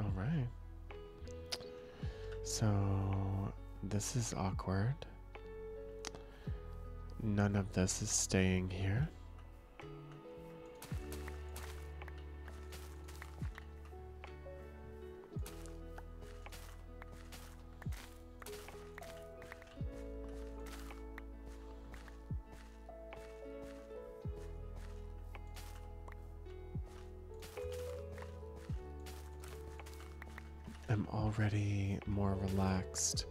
All right. So this is awkward. None of this is staying here. I'm already more relaxed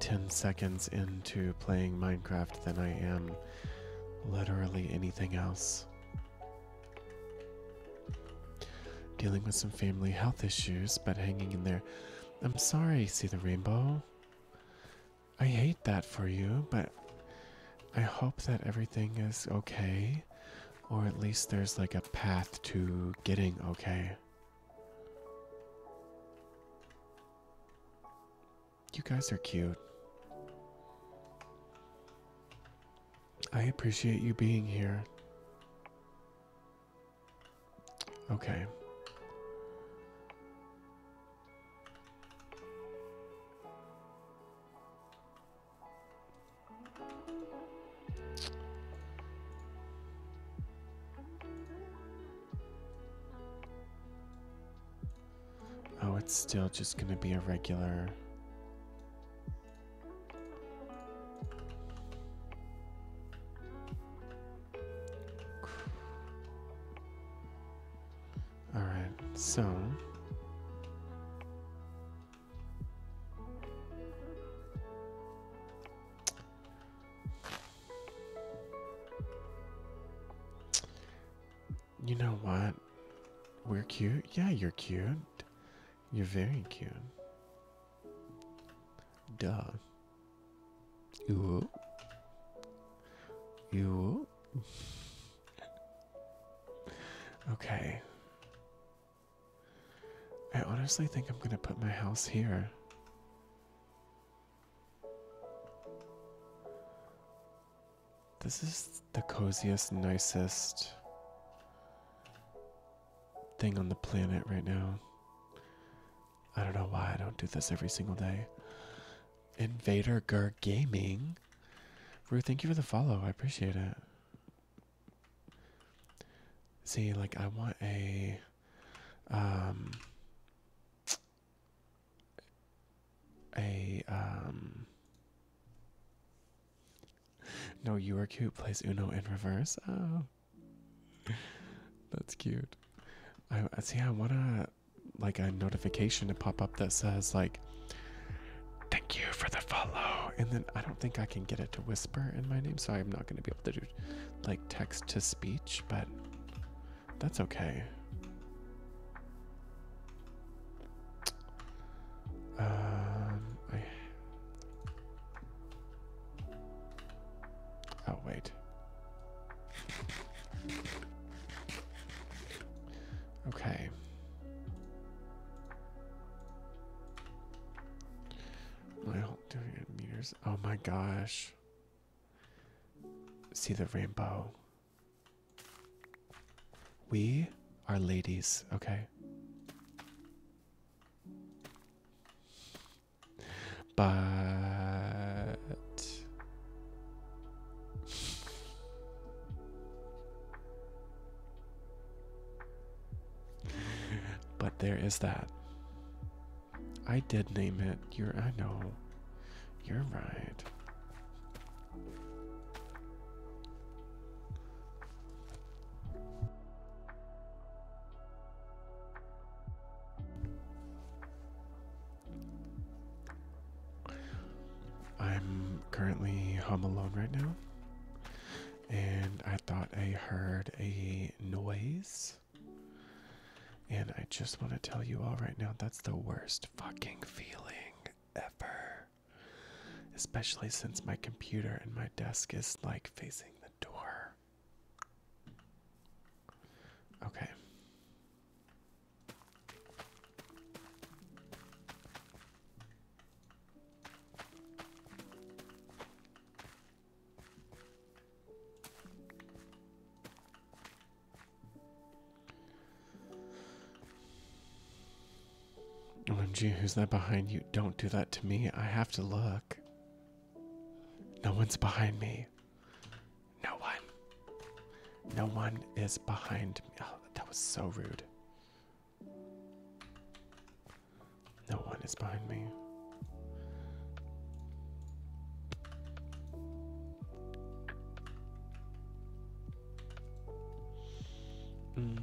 10 seconds into playing Minecraft than I am literally anything else. Dealing with some family health issues, but hanging in there. I'm sorry, see the rainbow. I hate that for you, but I hope that everything is okay. Or at least there's like a path to getting okay. You guys are cute. I appreciate you being here. Okay. Oh, it's still just going to be a regular. All right, so. You know what? We're cute. Yeah, you're cute. You're very cute. Duh. You. Ooh. okay. I honestly think I'm gonna put my house here. This is the coziest, nicest thing on the planet right now. I don't know why I don't do this every single day. Invader Gur Gaming. Rue, thank you for the follow. I appreciate it. See, like I want a um, a um no you were cute plays uno in reverse oh that's cute i see i want a like a notification to pop up that says like thank you for the follow and then i don't think i can get it to whisper in my name so i'm not going to be able to do like text to speech but that's okay. Uh, oh, wait. Okay. My whole meters. Oh my gosh. See the rainbow. We are ladies, okay? But But there is that. I did name it. You're I know. You're right. I'm currently home alone right now, and I thought I heard a noise. And I just want to tell you all right now that's the worst fucking feeling ever. Especially since my computer and my desk is like facing the door. Okay. OMG, who's that behind you? Don't do that to me. I have to look. No one's behind me. No one. No one is behind me. Oh, that was so rude. No one is behind me. Mm.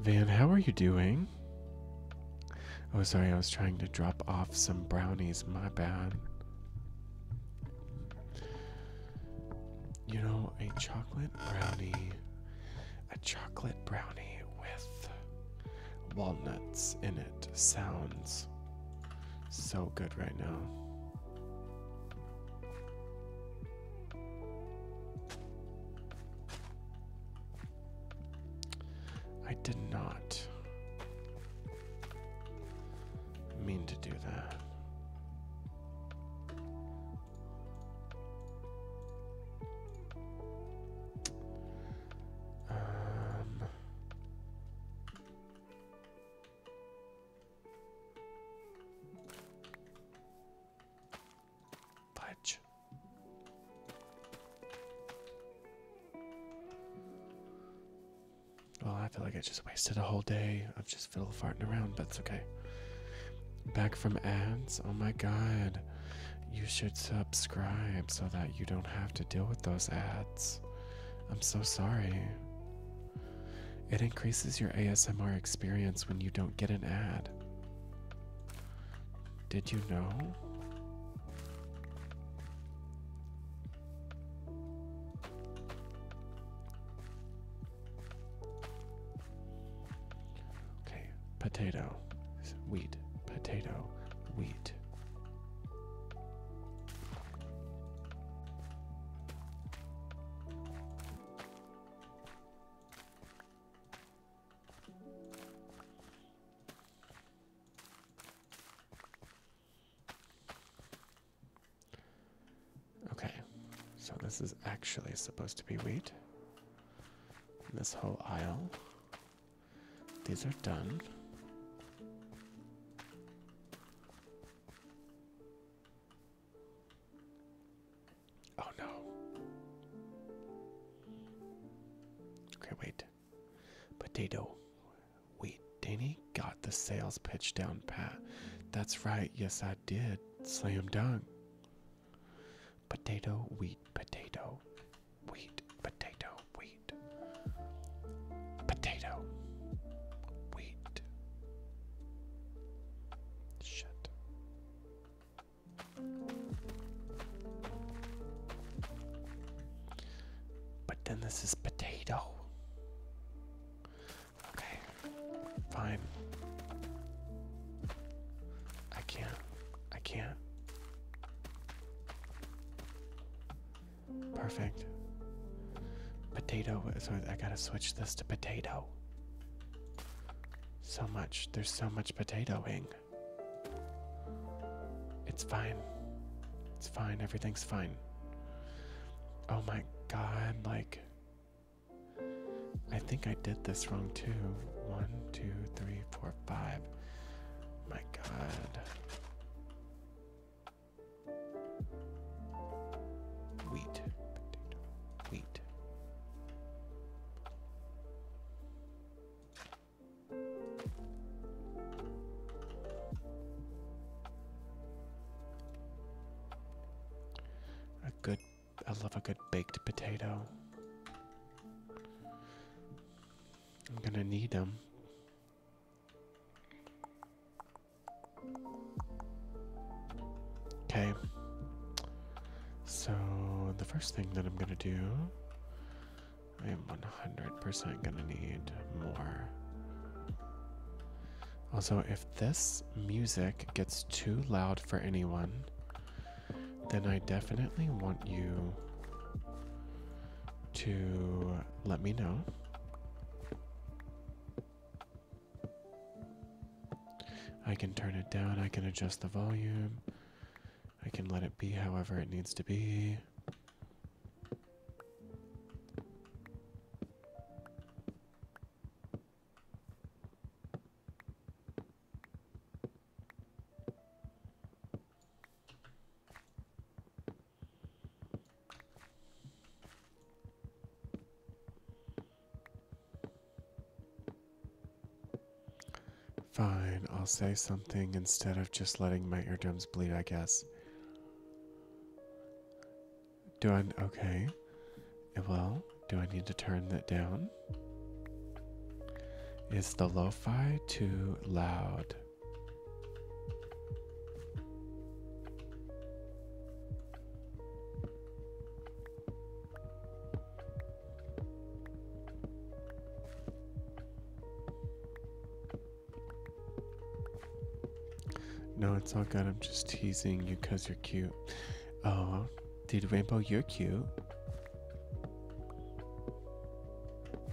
Van, how are you doing? Oh, sorry, I was trying to drop off some brownies. My bad. You know, a chocolate brownie a chocolate brownie with walnuts in it sounds so good right now. I did not mean to do that. Um, Well, I feel like I just wasted a whole day of just fiddle farting around, but it's okay. Back from ads? Oh my god. You should subscribe so that you don't have to deal with those ads. I'm so sorry. It increases your ASMR experience when you don't get an ad. Did you know? Okay, potato, wheat, potato, wheat. Okay, so this is actually supposed to be wheat. This whole aisle these are done. Oh no. Okay, wait. Potato. wheat. Danny got the sales pitch down pat. That's right, yes I did. Slam dunk. Potato, wheat, potato wheat, potato, wheat, potato, wheat. Shit. But then this is potato. Okay, fine. I can't. I can't. Perfect. Potato. So I gotta switch this to potato. So much. There's so much potatoing. It's fine. It's fine. Everything's fine. Oh my god, like. I think I did this wrong too. One, two, three, four, five. My God. Wheat. Potato. Wheat. A good, I love a good baked potato. I'm gonna need them. Okay. So the first thing that I'm gonna do, I am 100% gonna need more. Also, if this music gets too loud for anyone, then I definitely want you to let me know. I can turn it down, I can adjust the volume, I can let it be however it needs to be. Fine, I'll say something instead of just letting my eardrums bleed, I guess. Do I. Okay. Well, do I need to turn that down? Is the low lo-fi too loud. No, it's all good. I'm just teasing you because you're cute. Oh, dude, Rainbow, you're cute.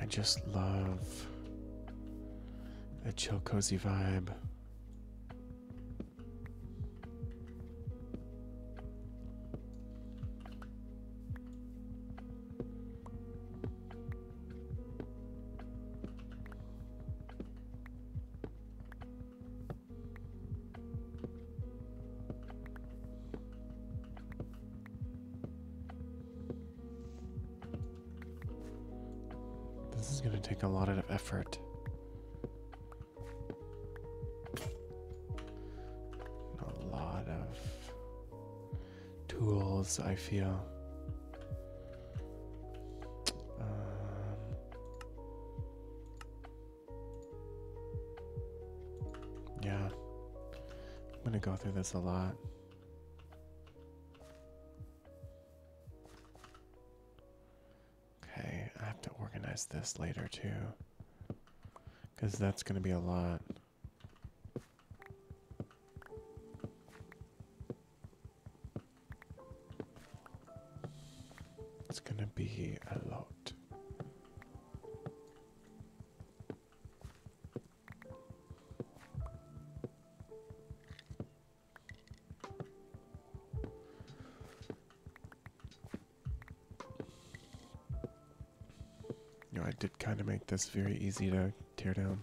I just love a chill, cozy vibe. This is going to take a lot of effort. A lot of tools, I feel. Um, yeah, I'm going to go through this a lot. Okay, I have to organize this later too. Because that's going to be a lot. It's going to be a lot. You know, I did kind of make this very easy to tear down.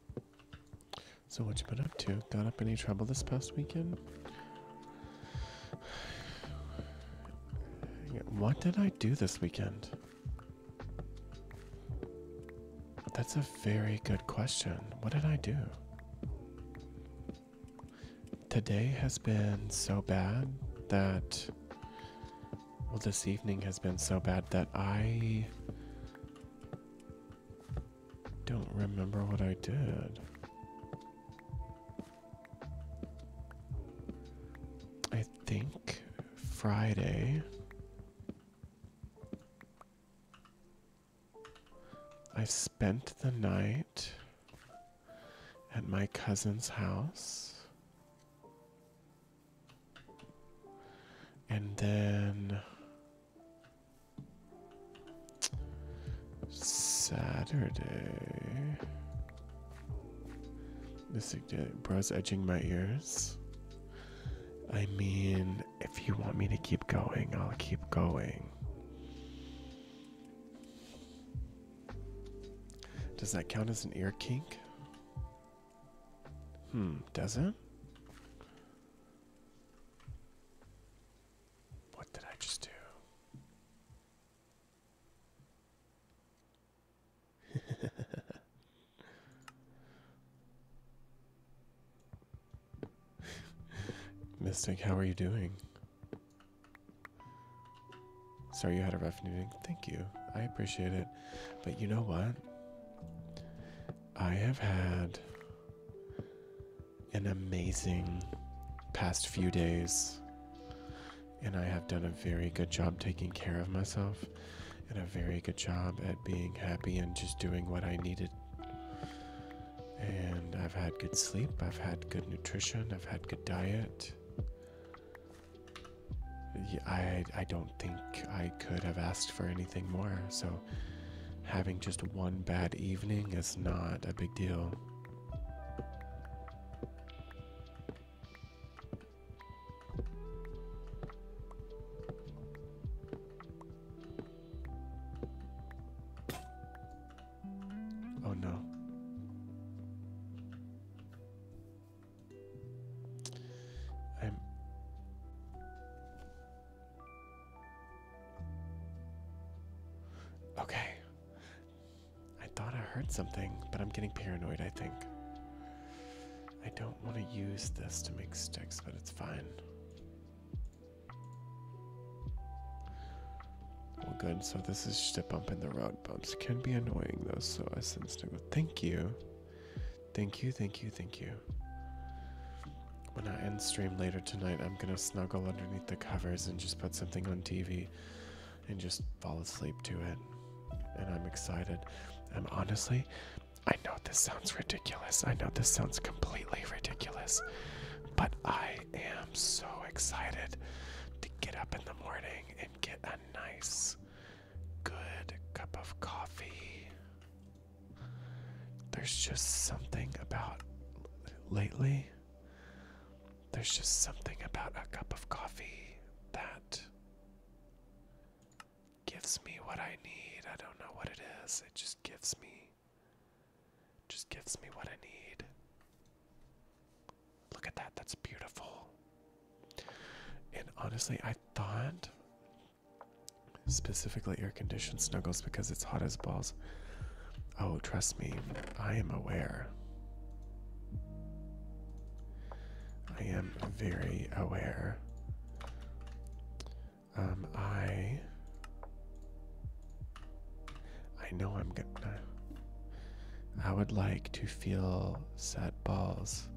So what you been up to? Got up any trouble this past weekend? What did I do this weekend? That's a very good question. What did I do? Today has been so bad that. Well, this evening has been so bad that I don't remember what I did. I think Friday I spent the night at my cousin's house. And then Saturday. Mystic bra's edging my ears. I mean, if you want me to keep going, I'll keep going. Does that count as an ear kink? Hmm, does it? What did I just do? Mystic, how are you doing? Sorry you had a rough evening. Thank you. I appreciate it. But you know what? I have had an amazing past few days, and I have done a very good job taking care of myself and a very good job at being happy and just doing what I needed. And I've had good sleep, I've had good nutrition, I've had good diet. I, I don't think I could have asked for anything more, so having just one bad evening is not a big deal. Oh no. I'm Okay. I thought I heard something, but I'm getting paranoid, I think. I don't want to use this to make sticks, but it's fine. Well, good. So this is just a bump in the road. Bumps can be annoying though, so I sense it go. thank you. Thank you, thank you, thank you. When I end stream later tonight, I'm gonna snuggle underneath the covers and just put something on TV and just fall asleep to it. And I'm excited. And honestly, I know this sounds ridiculous. I know this sounds completely ridiculous. But I am so excited to get up in the morning and get a nice, good cup of coffee there's just something about lately. There's just something about a cup of coffee that gives me what I need. I don't know what it is. It just gives me just gives me what I need. Look at that. That's beautiful. And honestly, I thought Specifically air-conditioned snuggles because it's hot as balls. Oh, trust me, I am aware. I am very aware. Um, I I know I'm gonna I would like to feel sad balls.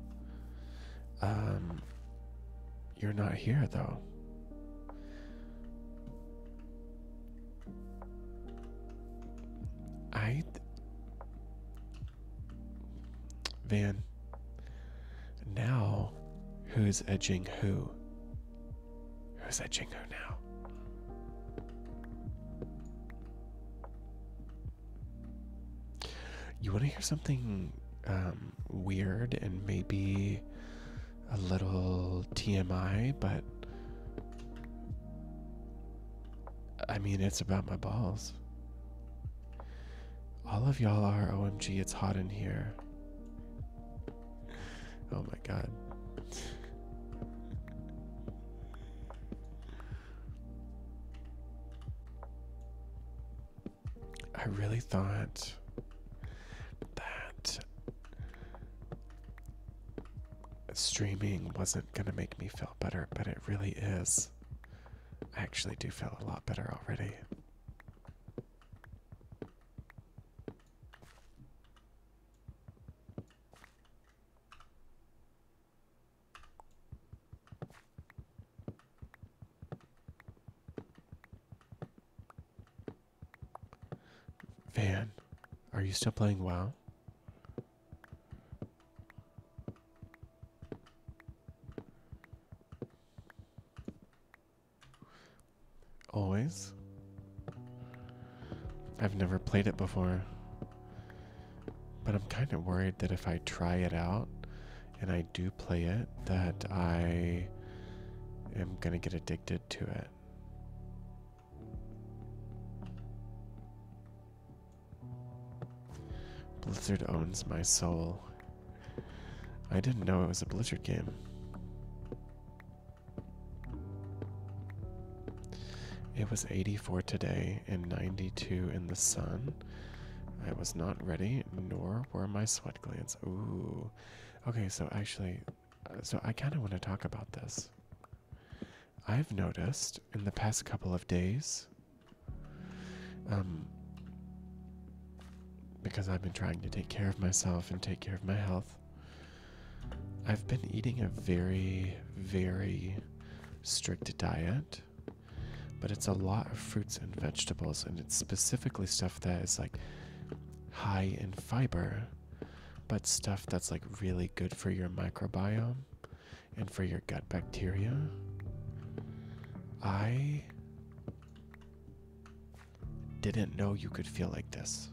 Um you're not here though. I. Van. Now, who's edging who? Who's edging who now? You want to hear something um, weird and maybe a little TMI, but I mean, it's about my balls. All of y'all are OMG, it's hot in here. Oh my god. I really thought that streaming wasn't going to make me feel better, but it really is. I actually do feel a lot better already. Van, are you still playing WoW? Always? I've never played it before. But I'm kind of worried that if I try it out and I do play it, that I i am going to get addicted to it. Blizzard owns my soul. I didn't know it was a Blizzard game. It was 84 today and 92 in the sun. I was not ready, nor were my sweat glands. Ooh. Okay, so actually, so I kind of want to talk about this. I've noticed in the past couple of days, um, because I've been trying to take care of myself and take care of my health, I've been eating a very, very strict diet, but it's a lot of fruits and vegetables, and it's specifically stuff that is like high in fiber, but stuff that's like really good for your microbiome and for your gut bacteria. I didn't know you could feel like this.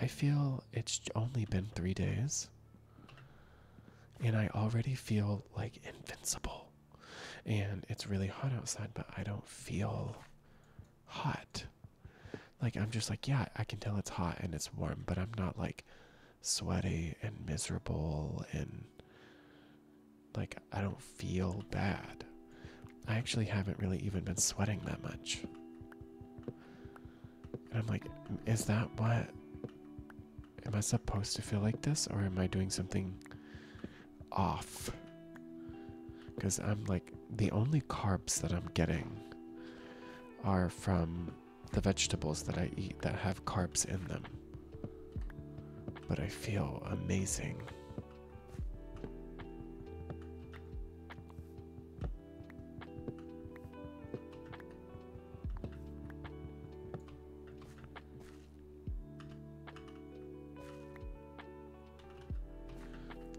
I feel it's only been three days, and I already feel like invincible. And it's really hot outside, but I don't feel hot. Like I'm just like, yeah, I can tell it's hot and it's warm, but I'm not like sweaty and miserable and like I don't feel bad. I actually haven't really even been sweating that much. And I'm like, is that what? Am I supposed to feel like this or am I doing something off because I'm like the only carbs that I'm getting are from the vegetables that I eat that have carbs in them. But I feel amazing.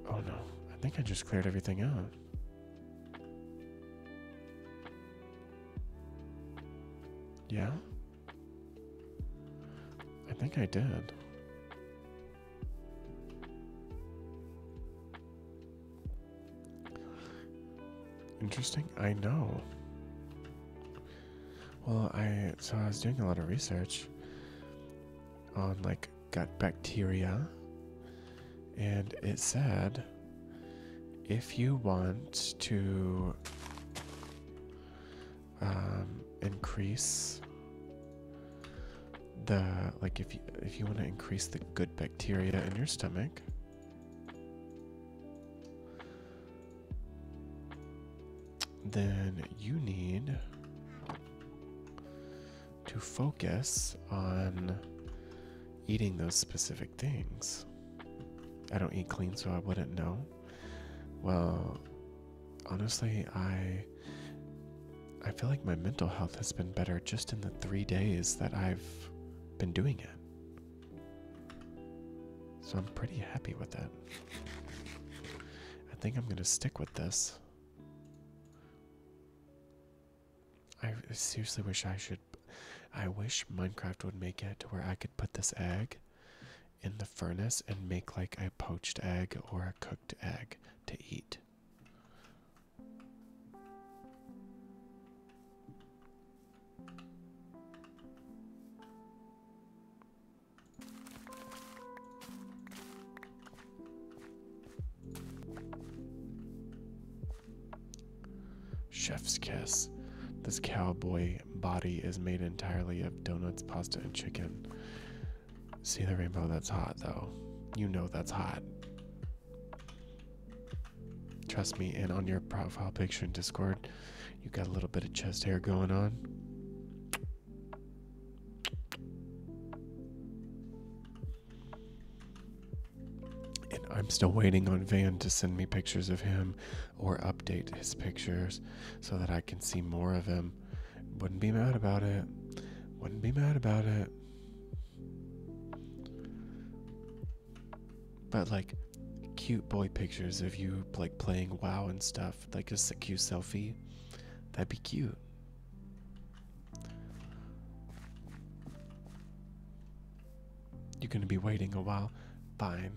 Oh no, I think I just cleared everything out. Yeah? I think I did. Interesting, I know. Well, I so I was doing a lot of research on like gut bacteria, and it said if you want to um, increase the like if you if you want to increase the good bacteria in your stomach then you need to focus on eating those specific things. I don't eat clean, so I wouldn't know. Well, honestly, I I feel like my mental health has been better just in the 3 days that I've been doing it. So I'm pretty happy with that. I think I'm going to stick with this. I seriously wish I should. I wish Minecraft would make it to where I could put this egg in the furnace and make like a poached egg or a cooked egg to eat. Chef's kiss. This cowboy body is made entirely of donuts, pasta, and chicken. See the rainbow? That's hot, though. You know that's hot. Trust me, and on your profile picture in Discord, you got a little bit of chest hair going on. And I'm still waiting on Van to send me pictures of him or update his pictures so that I can see more of him. Wouldn't be mad about it. Wouldn't be mad about it. But like cute boy pictures of you like playing WoW and stuff, like a cute selfie. That'd be cute. You're going to be waiting a while. Fine.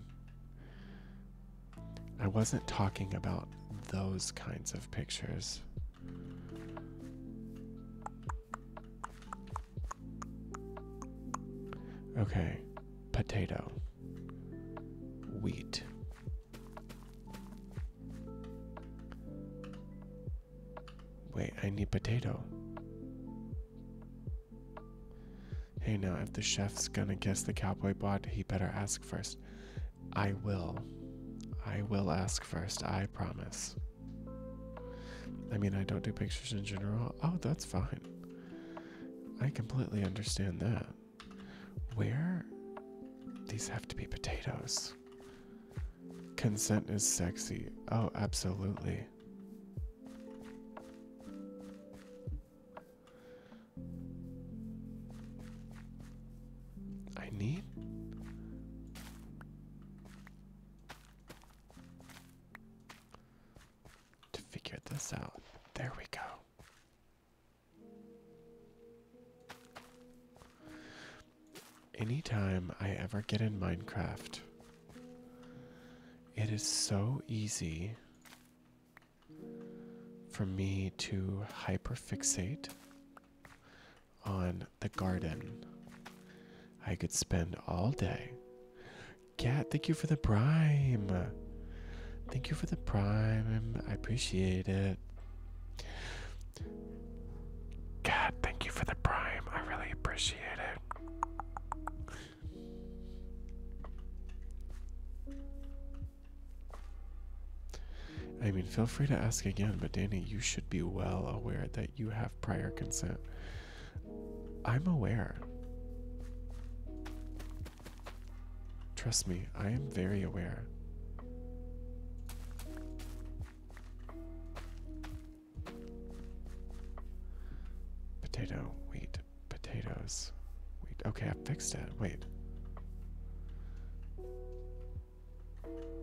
I wasn't talking about those kinds of pictures. Okay, potato, wheat, Wait, I need potato. Hey, now, if the chef's gonna guess the cowboy bot, he better ask first. I will. I will ask first, I promise. I mean, I don't do pictures in general. Oh, that's fine. I completely understand that. Where? These have to be potatoes. Consent is sexy. Oh, absolutely. I need. To figure this out. There we go. Anytime I ever get in Minecraft, it is so easy for me to hyperfixate on the garden. I could spend all day. Cat, thank you for the prime. Thank you for the prime. I appreciate it. God, thank you for the prime. I really appreciate it. I mean, feel free to ask again, but Danny, you should be well aware that you have prior consent. I'm aware. Trust me, I am very aware. Potato, wheat, potatoes, wheat. Okay, I fixed it. Wait.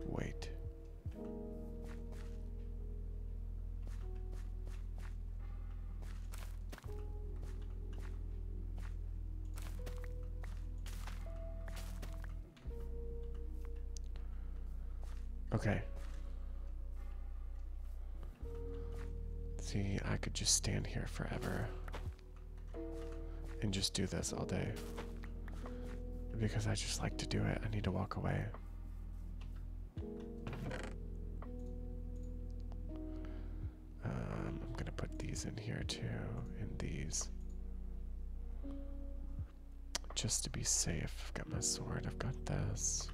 Wait. Okay. See, I could just stand here forever and just do this all day. Because I just like to do it, I need to walk away. Um, I'm gonna put these in here too and these. Just to be safe, I've got my sword, I've got this.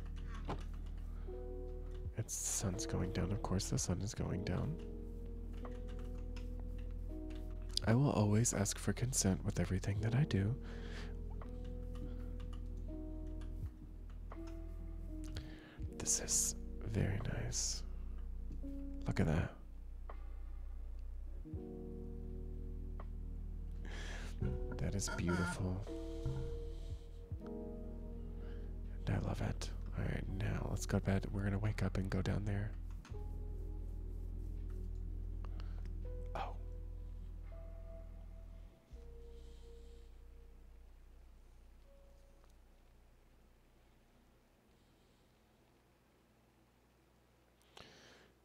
the sun's going down, of course, the sun is going down. I will always ask for consent with everything that I do. This is very nice. Look at that. That is beautiful. And I love it. Alright, now let's go to bed. We're gonna wake up and go down there. Oh.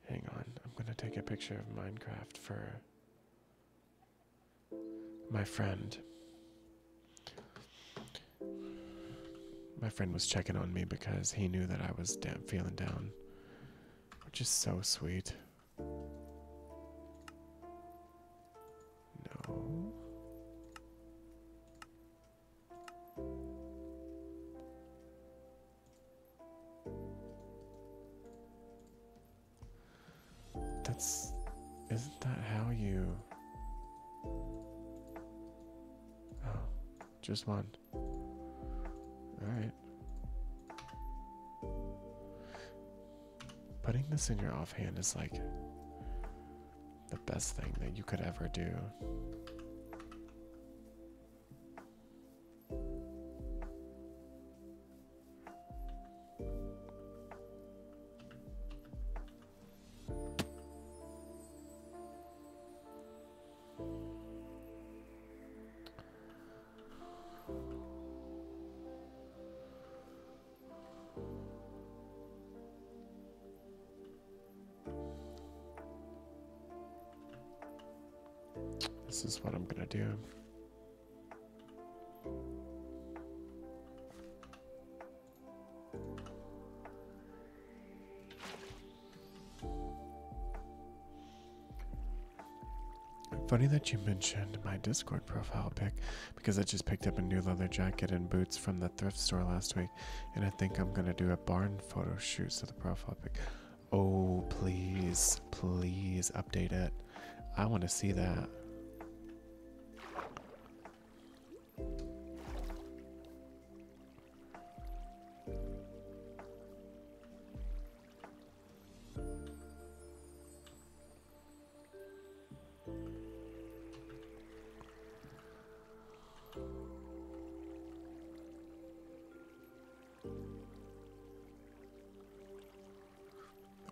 Hang on, I'm gonna take a picture of Minecraft for my friend. My friend was checking on me because he knew that I was damn feeling down, which is so sweet. No. That's... Isn't that how you... Oh, just one. Alright. Putting this in your offhand is like the best thing that you could ever do. This is what I'm gonna do. Funny that you mentioned my Discord profile pic because I just picked up a new leather jacket and boots from the thrift store last week, and I think I'm gonna do a barn photo shoots to the profile pic. Oh, please, please update it. I want to see that.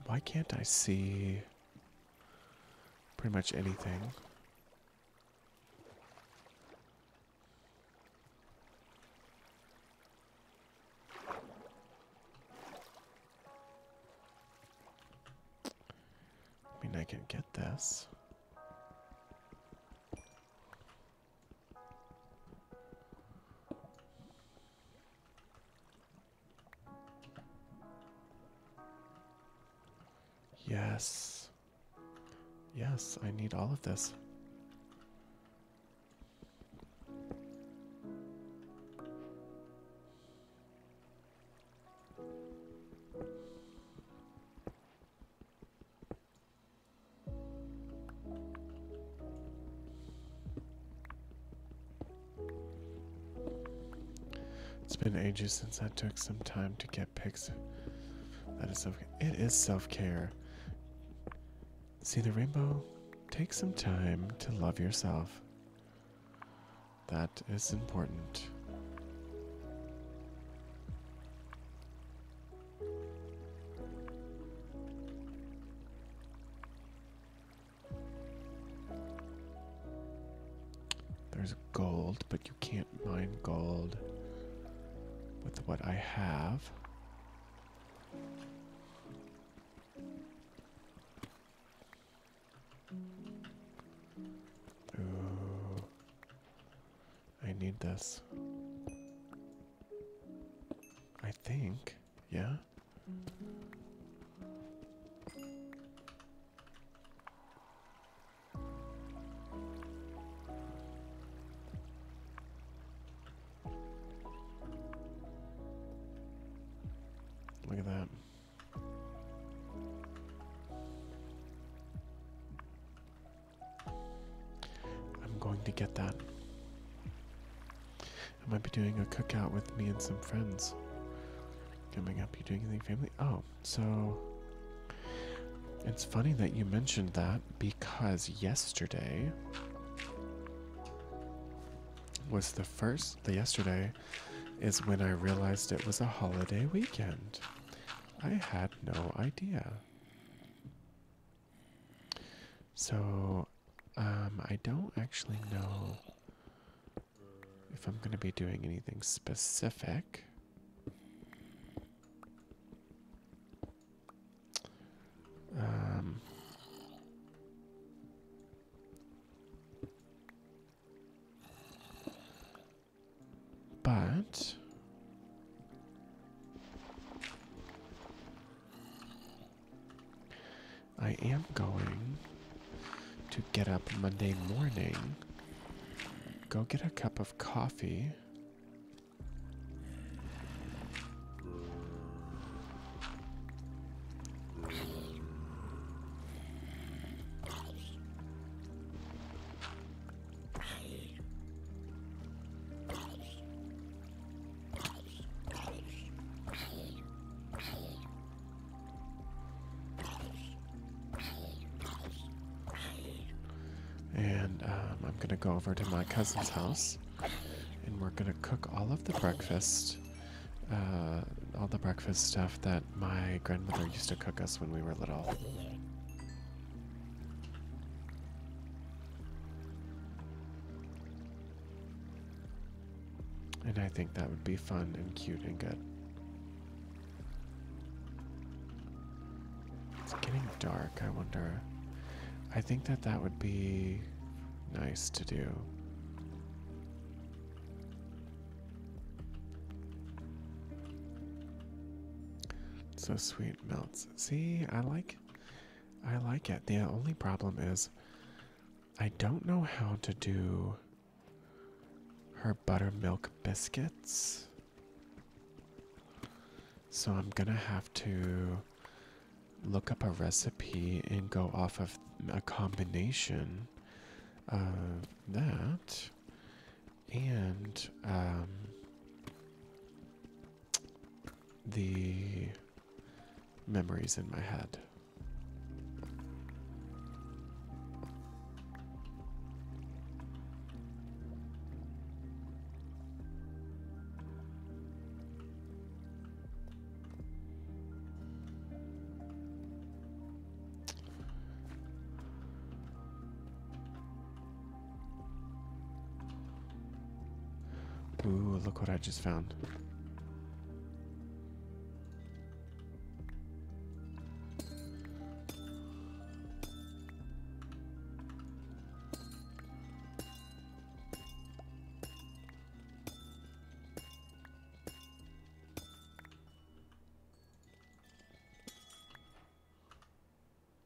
Why can't I see pretty much anything? I mean, I can get this. Yes. Yes, I need all of this. It's been ages since I took some time to get pics. That is self it is self-care. See the rainbow? Take some time to love yourself. That is important. There's gold, but you can't mine gold with what I have. I need this. I think, yeah. Look at that. I'm going to get that. I might be doing a cookout with me and some friends. Coming up, you doing anything family? Oh, so it's funny that you mentioned that because yesterday was the first, the yesterday is when I realized it was a holiday weekend. I had no idea. So, um, I don't actually know if I'm going to be doing anything specific. Um, but... I am going to get up Monday morning, go get a cup of coffee, and um, I'm going to go over to my cousin's house and we're going to cook all of the breakfast. Uh, all the breakfast stuff that my grandmother used to cook us when we were little. And I think that would be fun and cute and good. It's getting dark, I wonder. I think that that would be nice to do. So sweet melts. See, I like I like it. The only problem is I don't know how to do her buttermilk biscuits. So I'm gonna have to look up a recipe and go off of a combination of that and um, the memories in my head. Ooh, look what I just found.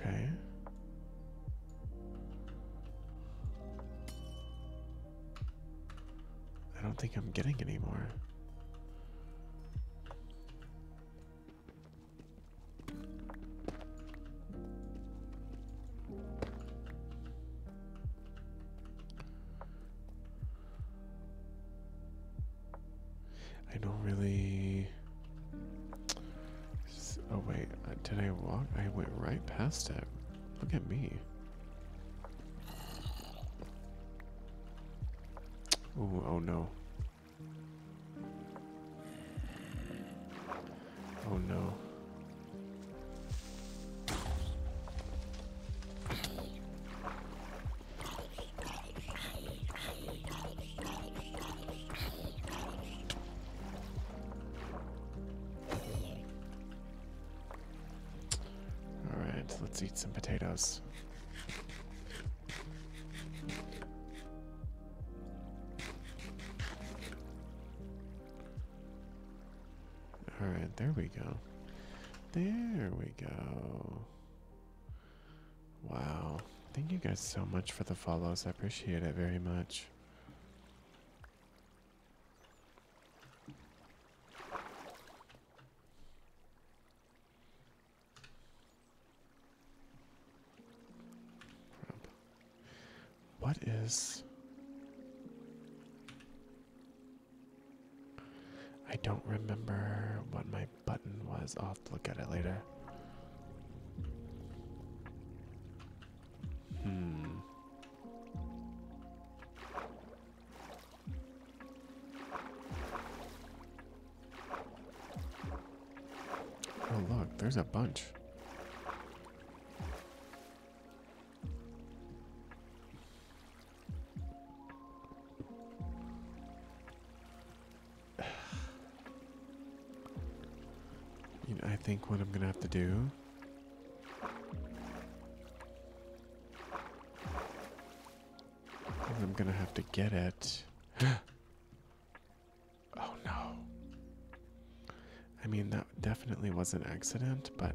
Okay. I don't think I'm getting any more. I don't really. Oh, wait. Uh, did I walk? I went right past it. Look at me. oh no. Oh no. All right, let's eat some potatoes. All right, there we go. There we go. Wow. Thank you guys so much for the follows. I appreciate it very much. What is... I don't remember what my button was. I'll to look at it later. Hmm. Oh, look, there's a bunch. I think what I'm gonna have to do. I'm gonna have to get it. oh no. I mean, that definitely was an accident, but.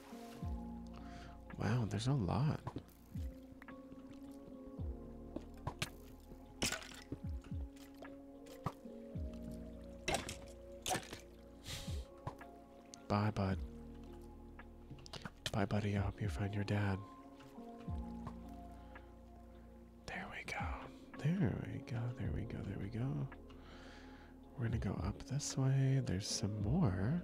Wow, there's a lot. Bye, bud. Bye, buddy. I hope you find your dad. There we go. There we go. There we go. There we go. We're gonna go up this way. There's some more.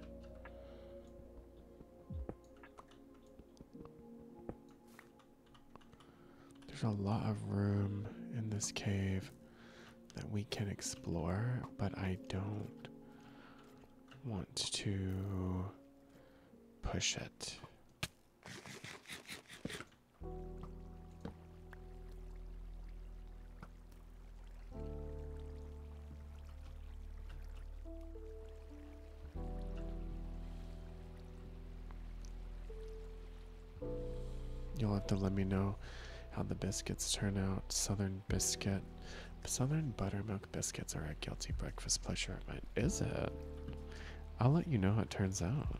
There's a lot of room in this cave that we can explore, but I don't want to push it. You'll have to let me know how the biscuits turn out. Southern biscuit, Southern buttermilk biscuits are a guilty breakfast pleasure of mine. Is it? I'll let you know how it turns out.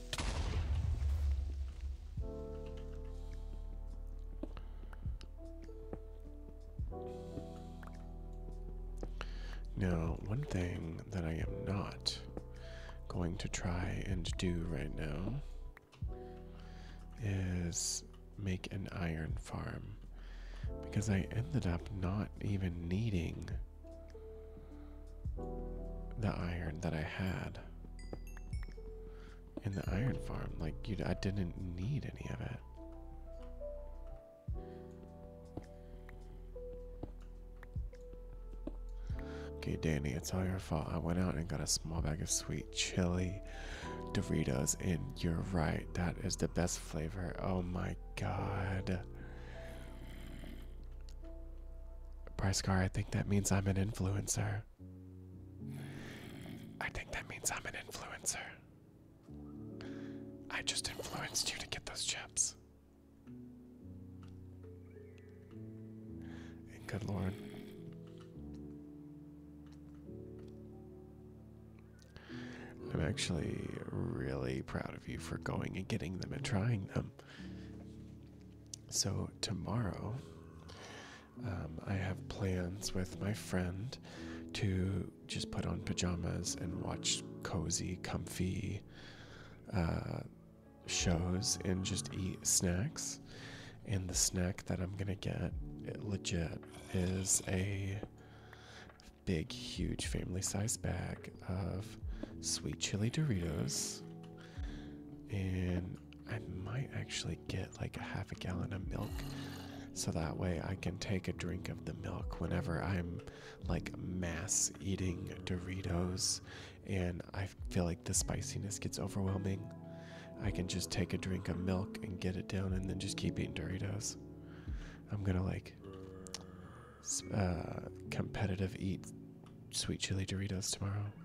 Now, one thing that I am not going to try and do right now is make an iron farm because I ended up not even needing the iron that I had in the iron farm. Like, you, I didn't need any of it. Okay, Danny, it's all your fault. I went out and got a small bag of sweet chili Doritos, and you're right. That is the best flavor. Oh my god. Price car, I think that means I'm an influencer. I think that means I'm an influencer. I just influenced you to get those chips. And good lord. I'm actually really proud of you for going and getting them and trying them. So, tomorrow, um, I have plans with my friend to just put on pajamas and watch cozy, comfy uh, shows and just eat snacks. And the snack that I'm gonna get, legit, is a big, huge family size bag of sweet chili Doritos and I might actually get like a half a gallon of milk so that way I can take a drink of the milk whenever I'm like mass eating Doritos and I feel like the spiciness gets overwhelming. I can just take a drink of milk and get it down and then just keep eating Doritos. I'm gonna like uh, competitive eat sweet chili Doritos tomorrow.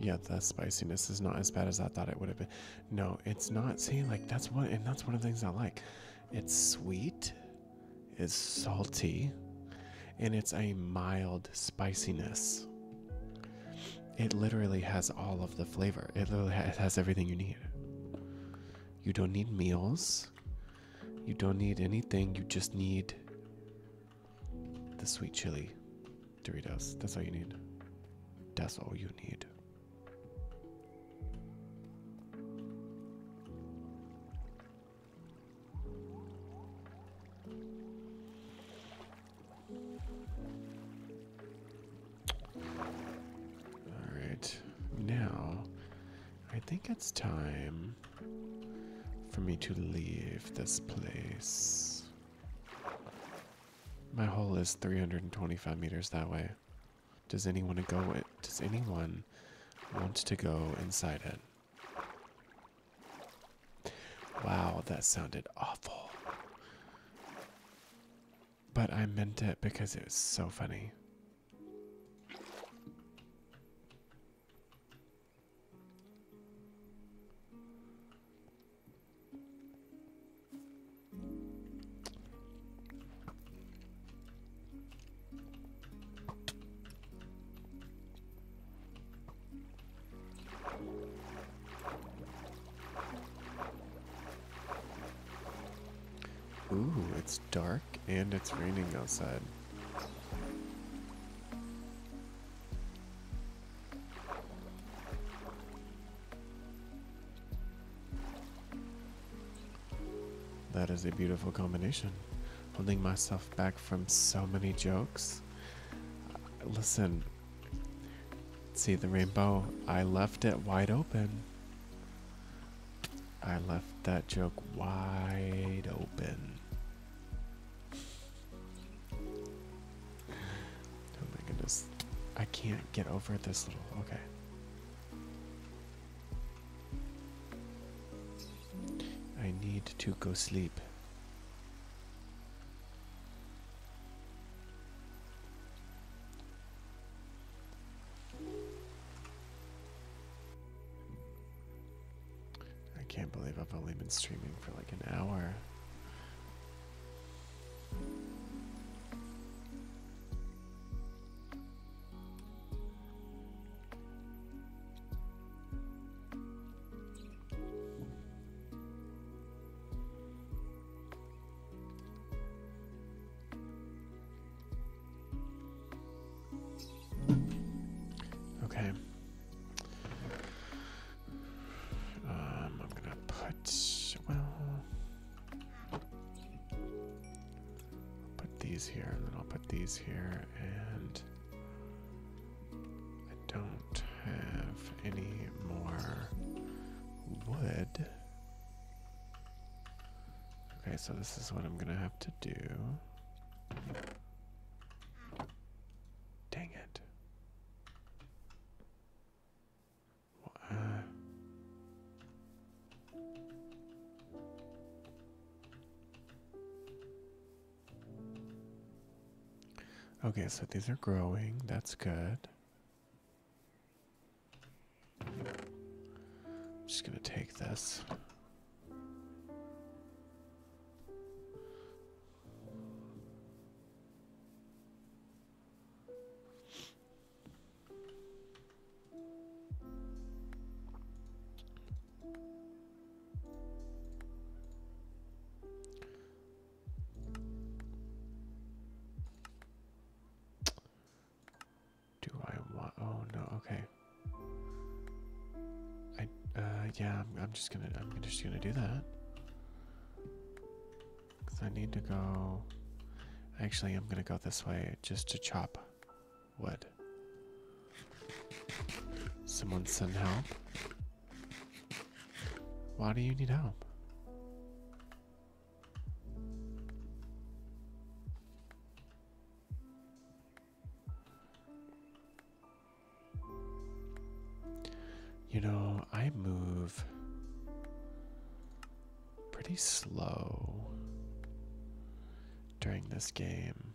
Yeah, the spiciness is not as bad as I thought it would have been. No, it's not. See, like that's one, and that's one of the things I like. It's sweet, it's salty, and it's a mild spiciness. It literally has all of the flavor. It literally has, everything you need. You don't need meals. You don't need anything. You just need the sweet chili Doritos. That's all you need. That's all you need. All right. Now, I think it's time for me to leave this place. My hole is 325 meters that way. Does anyone Does anyone want to go inside it? Wow, that sounded awful. But I meant it because it was so funny. Ooh, it's dark and it's raining outside. That is a beautiful combination. Holding myself back from so many jokes. Listen, See the rainbow? I left it wide open. I left that joke wide open. Oh my goodness. I can't get over this little. Okay. I need to go sleep. I can't believe I've only been streaming for like an hour. Okay. Um, I'm gonna put well. put these here, and then I'll put these here, and I don't have any more wood. Okay, so this is what I'm gonna have to do. Dang it. Uh, Okay, so these are growing. That's good. I'm just going to take this. Do I want? Oh no. Okay. I. Uh. Yeah. I'm, I'm just gonna. I'm just gonna do that. Cause I need to go. Actually, I'm gonna go this way just to chop wood. Someone send help. Why do you need help? You know, I move pretty slow during this game.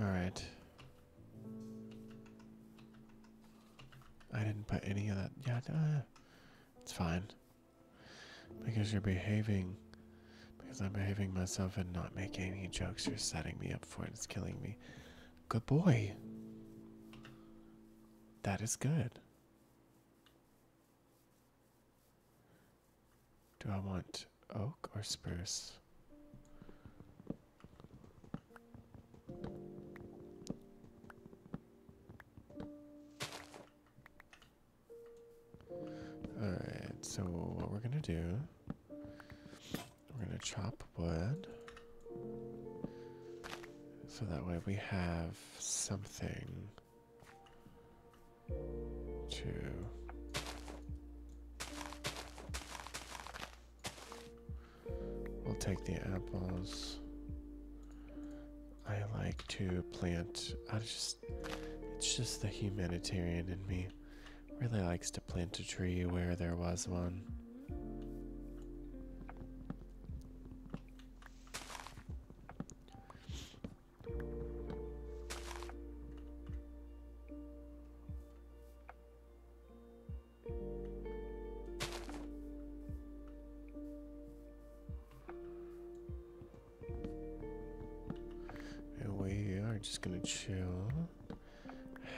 All right. I didn't put any of that. Yeah, it's fine. Because you're behaving. Because I'm behaving myself and not making any jokes, you're setting me up for it. It's killing me. Good boy. That is good. Do I want oak or spruce? Alright, so what we're gonna do, we're gonna chop wood. So that way we have something to We'll take the apples. I like to plant I just it's just the humanitarian in me really likes to plant a tree where there was one. And we are just gonna chill.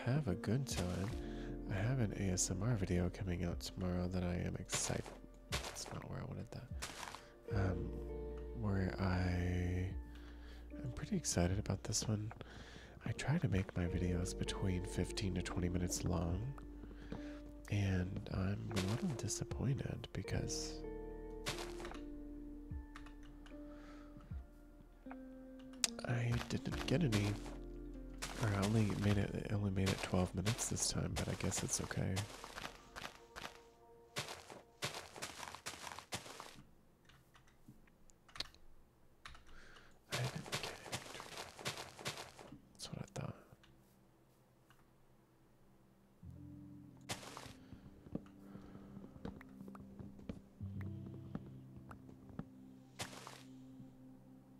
Have a good time. I have an ASMR video coming out tomorrow that I am excited. That's not where I wanted that. Um, where I I'm pretty excited about this one. I try to make my videos between 15 to 20 minutes long, and I'm a little disappointed because. I didn't get any I only made it, it only made it 12 minutes this time, but I guess it's okay. That's what I thought.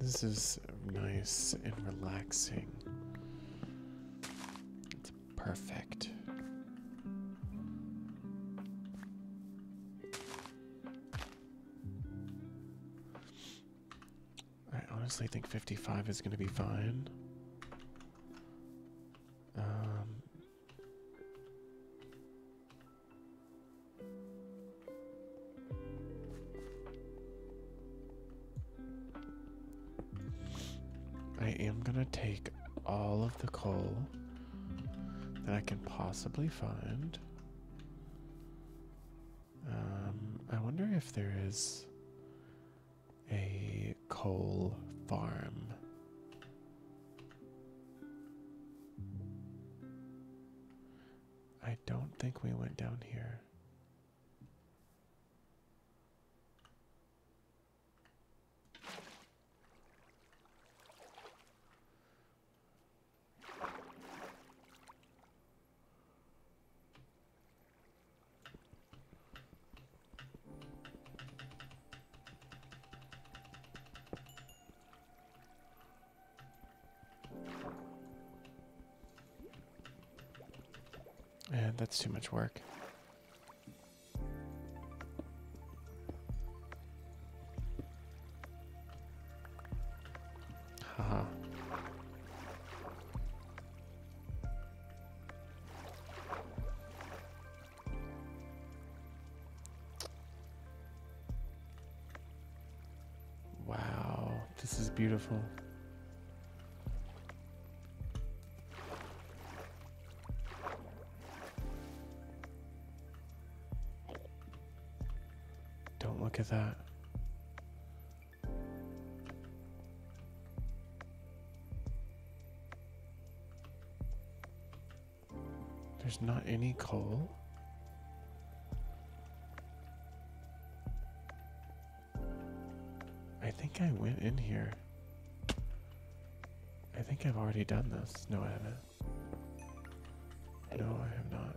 This is nice and relaxing. It's perfect. I honestly think 55 is going to be fine. Um, I am going to take all of the coal that I can possibly find. Um, I wonder if there is a coal farm. I don't think we went down here. Yeah, that's too much work. Wow, this is beautiful. Don't look at that. There's not any coal. I think I went in here. I think I've already done this. No, I haven't. No, I have not.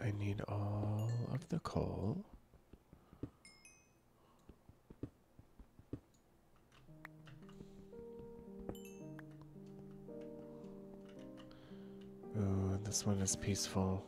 I need all of the coal. Ooh, this one is peaceful.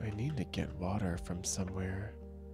I need to get water from somewhere.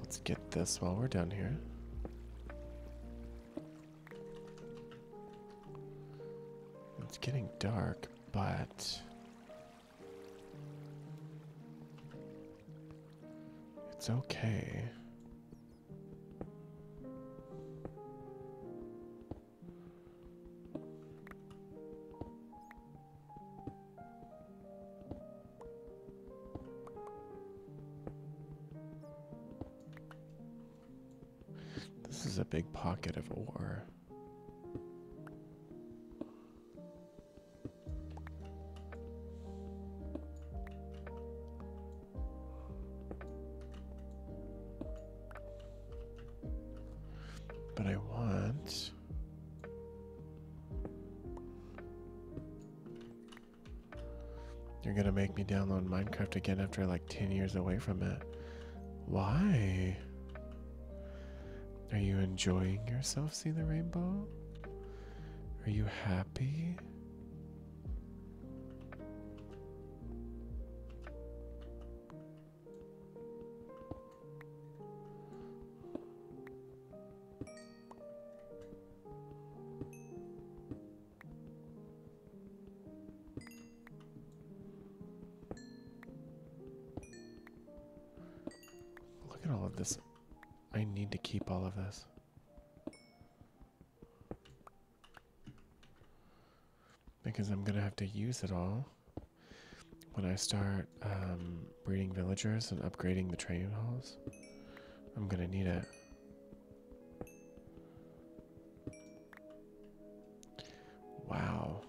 Let's get this while we're down here. It's getting dark, but it's okay. This is a big pocket of ore. But I want you're gonna make me download Minecraft again after like 10 years away from it. Why? Are you enjoying yourself See the rainbow? Are you happy? Look at all of this. I need to keep all of this. Because I'm going to have to use it all when I start um, breeding villagers and upgrading the training halls. I'm gonna need it. Wow.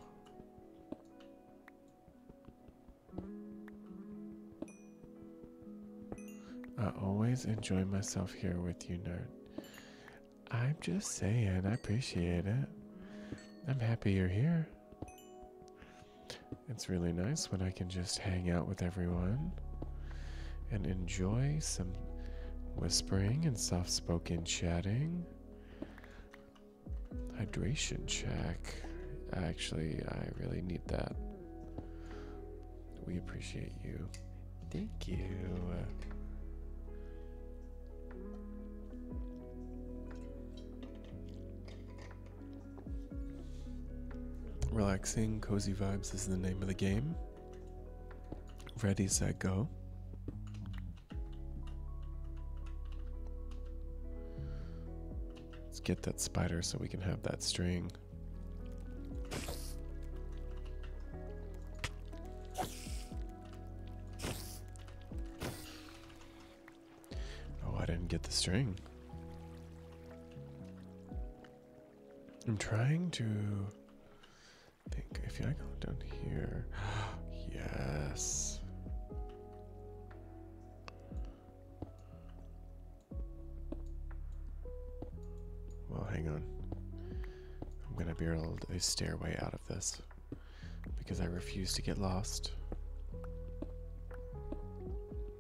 I always enjoy myself here with you, nerd. I'm just saying, I appreciate it. I'm happy you're here. It's really nice when I can just hang out with everyone and enjoy some whispering and soft spoken chatting. Hydration check. Actually, I really need that. We appreciate you. Thank you. Relaxing, cozy vibes is the name of the game. Ready, set, go. Let's get that spider so we can have that string. Oh, I didn't get the string. I'm trying to think if I go down here. yes. Well, hang on. I'm gonna build a stairway out of this because I refuse to get lost.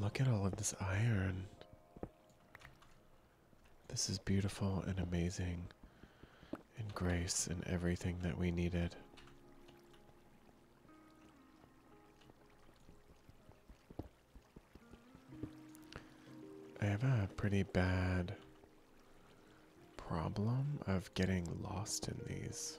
Look at all of this iron. This is beautiful and amazing, and grace and everything that we needed. I have a pretty bad problem of getting lost in these.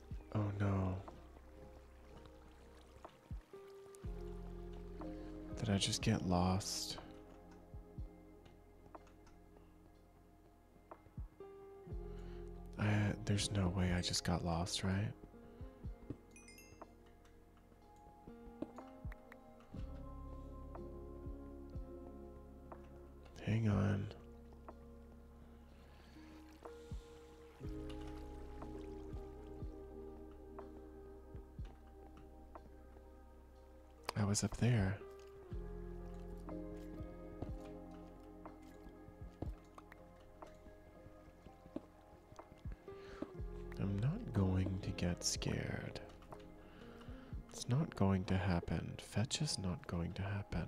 Oh no. Did I just get lost? there's no way I just got lost, right? Hang on. I was up there. I'm not going to get scared. It's not going to happen. Fetch is not going to happen.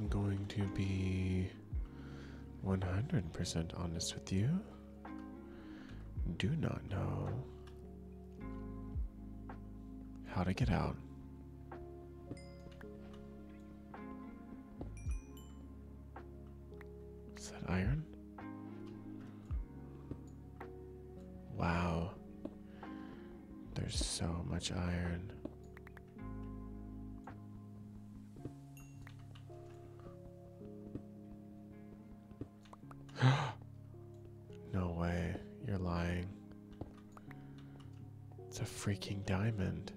I'm going to be 100% honest with you. Do not know how to get out. Is that iron? Wow. There's so much iron. no way. You're lying. It's a freaking diamond.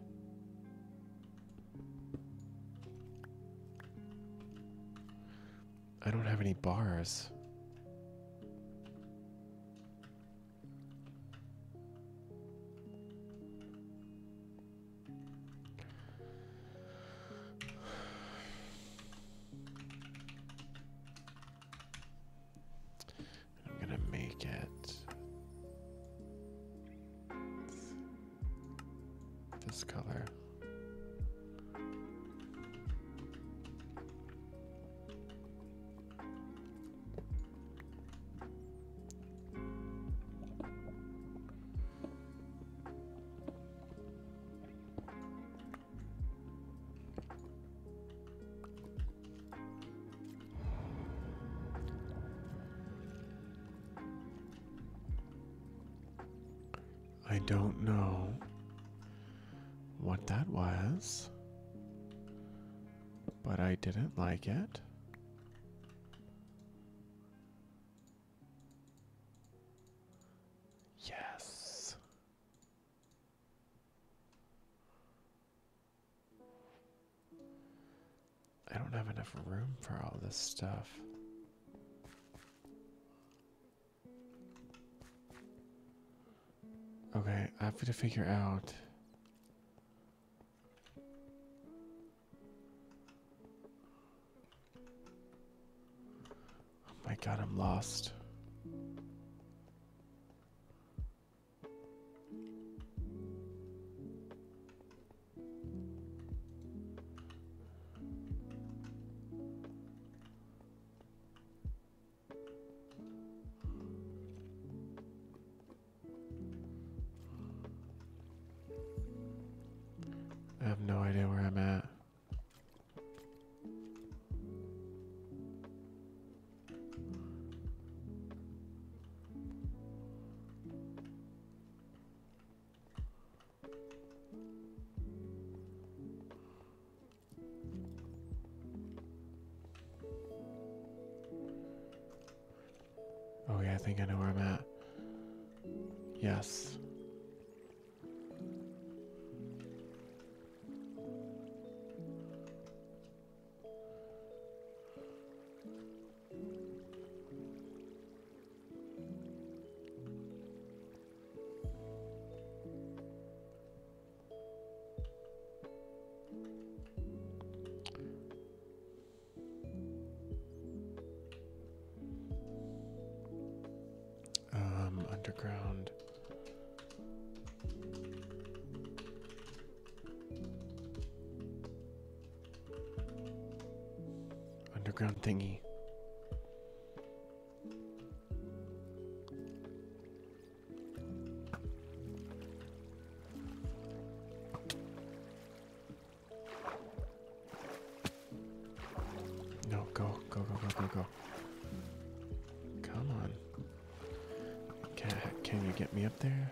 I don't have any bars. I'm gonna make it this color. I don't know what that was, but I didn't like it. Yes. I don't have enough room for all this stuff. Okay, I have to figure out. Oh my god, I'm lost. I have no idea where I'm at. Oh yeah, I think I know where I'm at. Yes. Um, underground Underground thingy. No, go, go, go, go, go, go. Come on. Can, can you get me up there?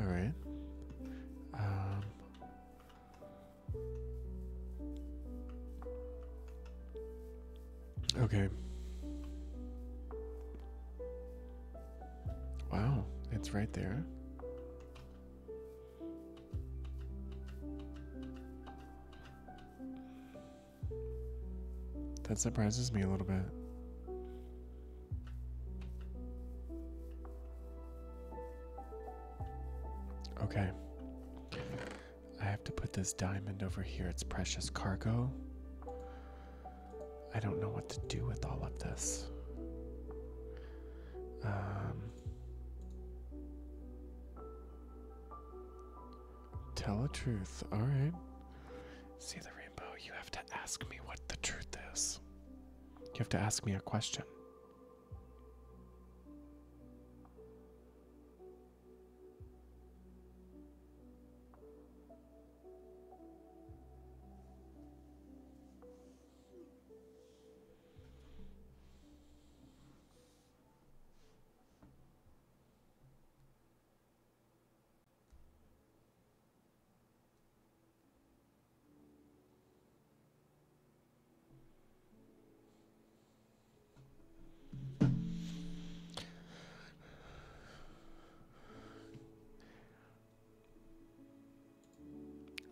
All right. Um, okay. Wow, it's right there. That surprises me a little bit. Okay. I have to put this diamond over here. It's precious cargo. I don't know what to do with all of this. Um, Tell the truth. All right. See the rainbow. You have to ask me what the truth is. You have to ask me a question.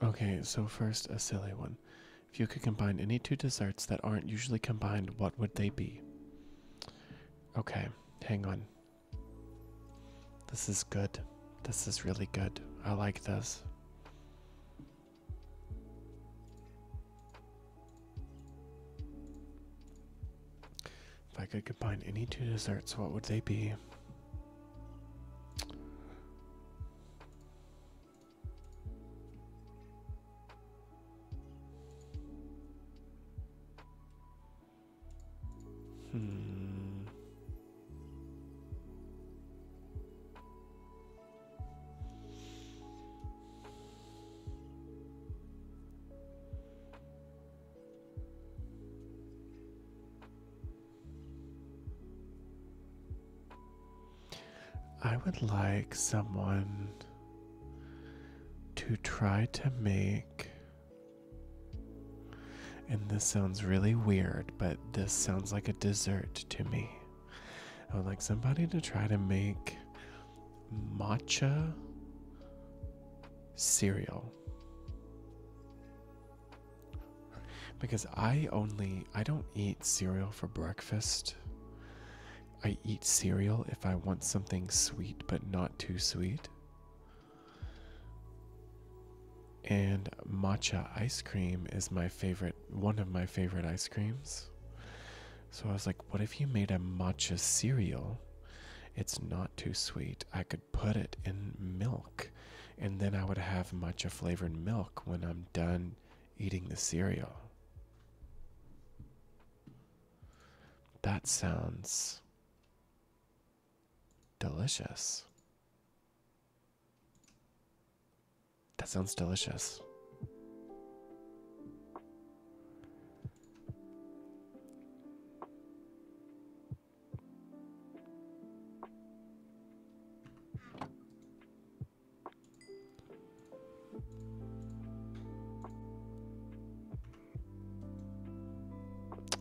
Okay, so first, a silly one. If you could combine any two desserts that aren't usually combined, what would they be? Okay, hang on. This is good. This is really good. I like this. If I could combine any two desserts, what would they be? Hmm. I would like someone to try to make. And this sounds really weird, but this sounds like a dessert to me. I would like somebody to try to make matcha cereal. Because I only, I don't eat cereal for breakfast. I eat cereal if I want something sweet but not too sweet. And matcha ice cream is my favorite, one of my favorite ice creams. So I was like, what if you made a matcha cereal? It's not too sweet. I could put it in milk, and then I would have matcha flavored milk when I'm done eating the cereal. That sounds delicious. That sounds delicious.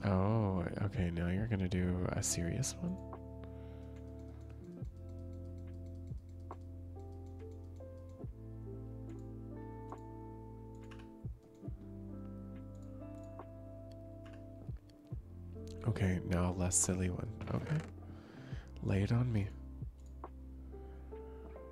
Oh, okay, now you're gonna do a serious one? Okay, now a less silly one. Okay. Lay it on me.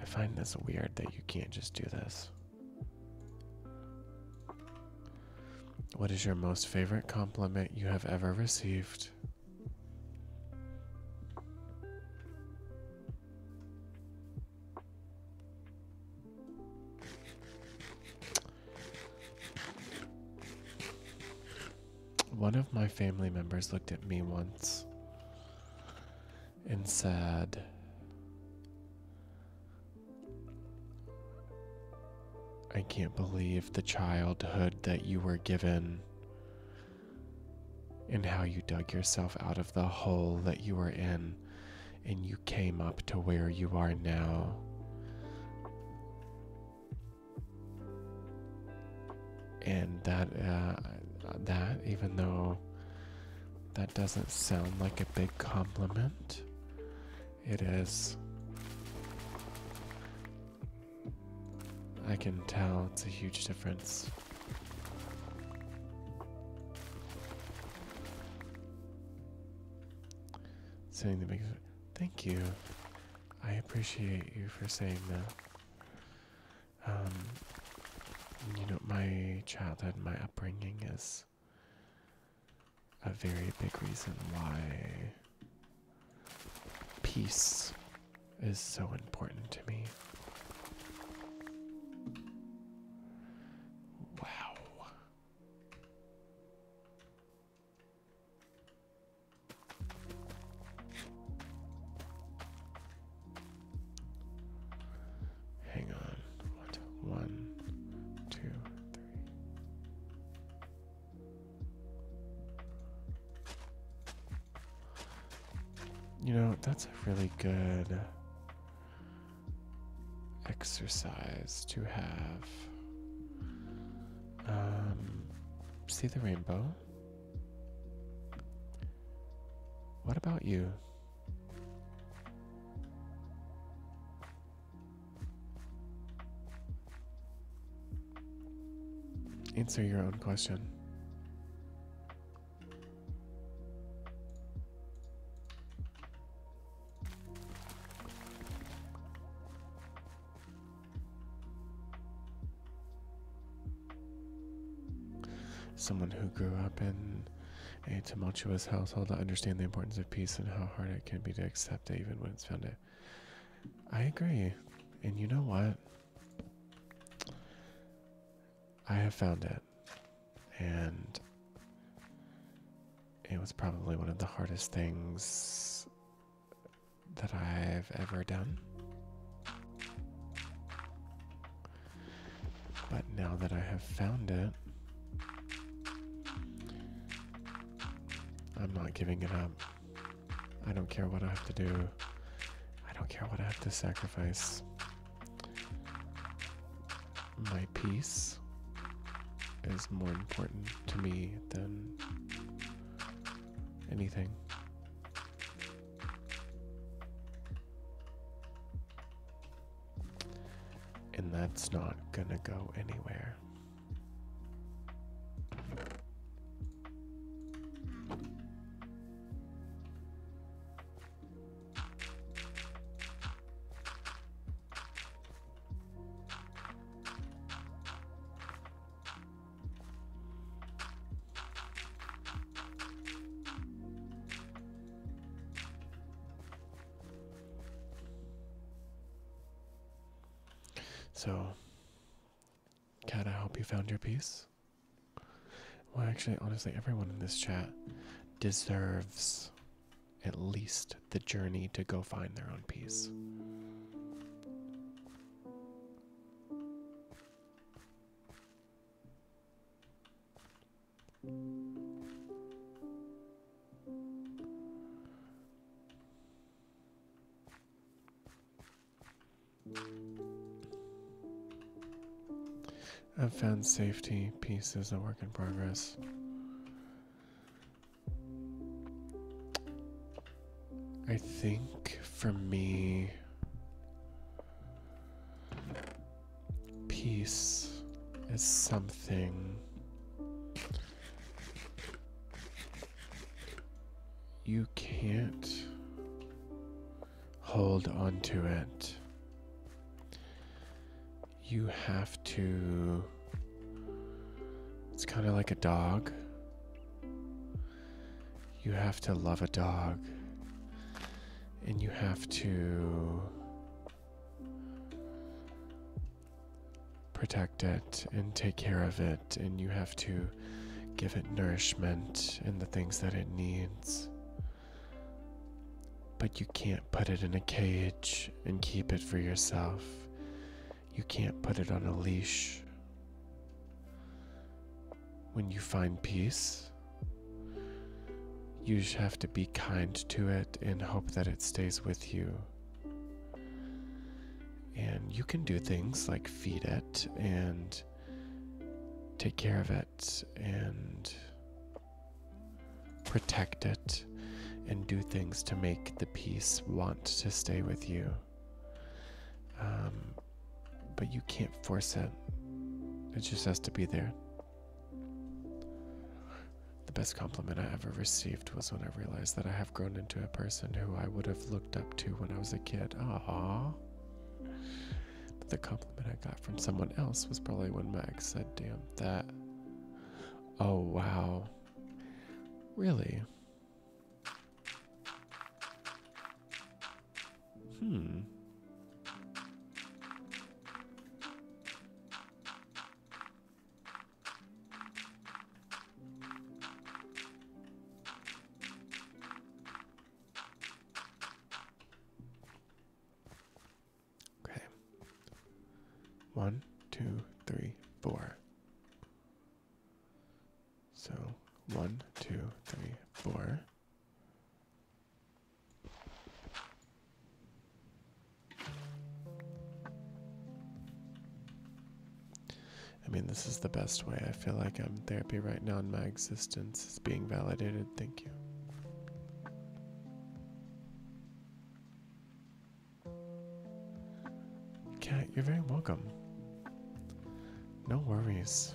I find this weird that you can't just do this. What is your most favorite compliment you have ever received? One of my family members looked at me once and said, I can't believe the childhood that you were given and how you dug yourself out of the hole that you were in and you came up to where you are now. And that, uh, that even though that doesn't sound like a big compliment. It is. I can tell it's a huge difference. Saying the big thank you. I appreciate you for saying that. Um, you know, my childhood, my upbringing is a very big reason why peace is so important to me. Wow. Hang on. One, two, three. You know, that's a really good exercise to have. Um, see the rainbow? What about you? Answer your own question. Someone who grew up in a tumultuous household, to understand the importance of peace and how hard it can be to accept it even when it's found it. I agree. And you know what? I have found it. And it was probably one of the hardest things that I've ever done. But now that I have found it, I'm not giving it up. I don't care what I have to do. I don't care what I have to sacrifice. My peace is more important to me than anything. And that's not gonna go anywhere. So, Kat, I hope you found your peace. Well, actually, honestly, everyone in this chat deserves at least the journey to go find their own peace. I've found safety piece is a work in progress. I think for me, Peace is something you can't hold on to it. You have to. It's kind of like a dog. You have to love a dog and you have to protect it and take care of it, and you have to give it nourishment and the things that it needs. But you can't put it in a cage and keep it for yourself. You can't put it on a leash. When you find peace, you have to be kind to it and hope that it stays with you. And you can do things like feed it and take care of it and protect it and do things to make the peace want to stay with you. Um, but you can't force it, it just has to be there. The best compliment I ever received was when I realized that I have grown into a person who I would have looked up to when I was a kid. Aww. the compliment I got from someone else was probably when Meg said, Damn, that. Oh, wow. Really? Hmm. Okay. One, two, three, four. So one, two, three, four. I mean, this is the best way. I feel like I'm um, therapy right now, In my existence it's being validated. Thank you. Kat. you're very welcome. No worries.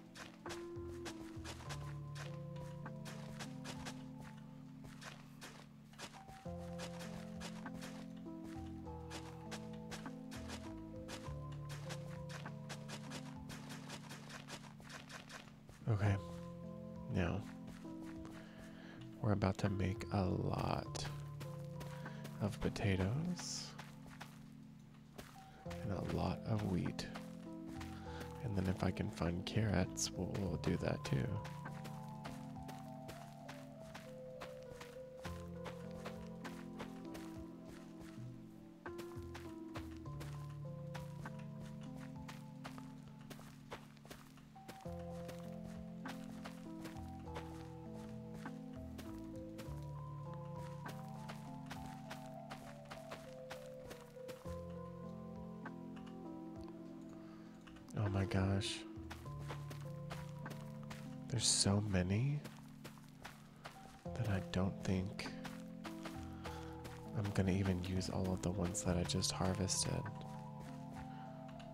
Okay. Now, we're about to make a lot of potatoes and a lot of wheat. And then if I can find carrots, we'll, do that too. Oh my gosh. There's so many that I don't think I'm gonna even use all of the ones that I just harvested.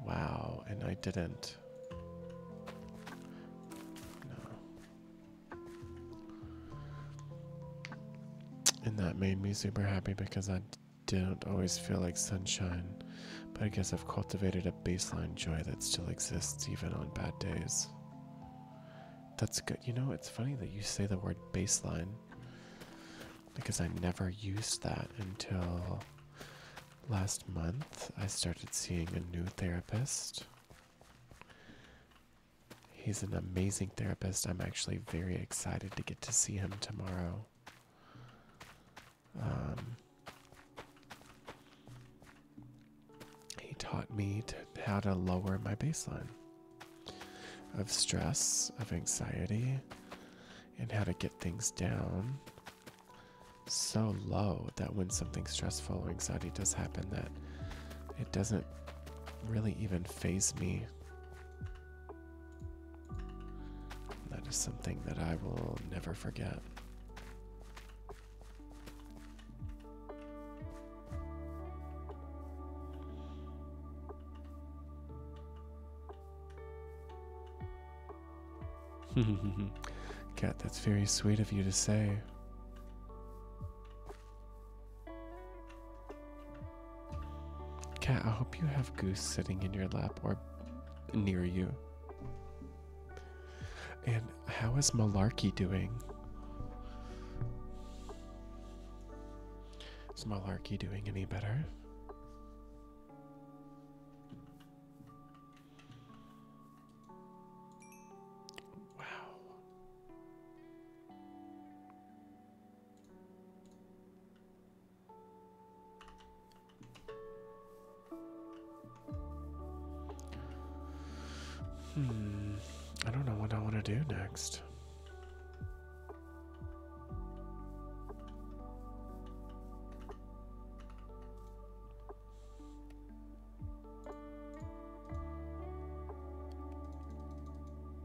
Wow, and I didn't. No. And that made me super happy because I do not always feel like sunshine, but I guess I've cultivated a baseline joy that still exists even on bad days. That's good. You know, it's funny that you say the word baseline because I never used that until last month. I started seeing a new therapist. He's an amazing therapist. I'm actually very excited to get to see him tomorrow. Um, he taught me how to lower my baseline of stress, of anxiety, and how to get things down so low that when something stressful or anxiety does happen that it doesn't really even phase me that is something that I will never forget. Cat, that's very sweet of you to say. Cat, I hope you have Goose sitting in your lap or near you. And how is Malarkey doing? Is Malarkey doing any better? Wow. Hmm. I don't know what I want to do next.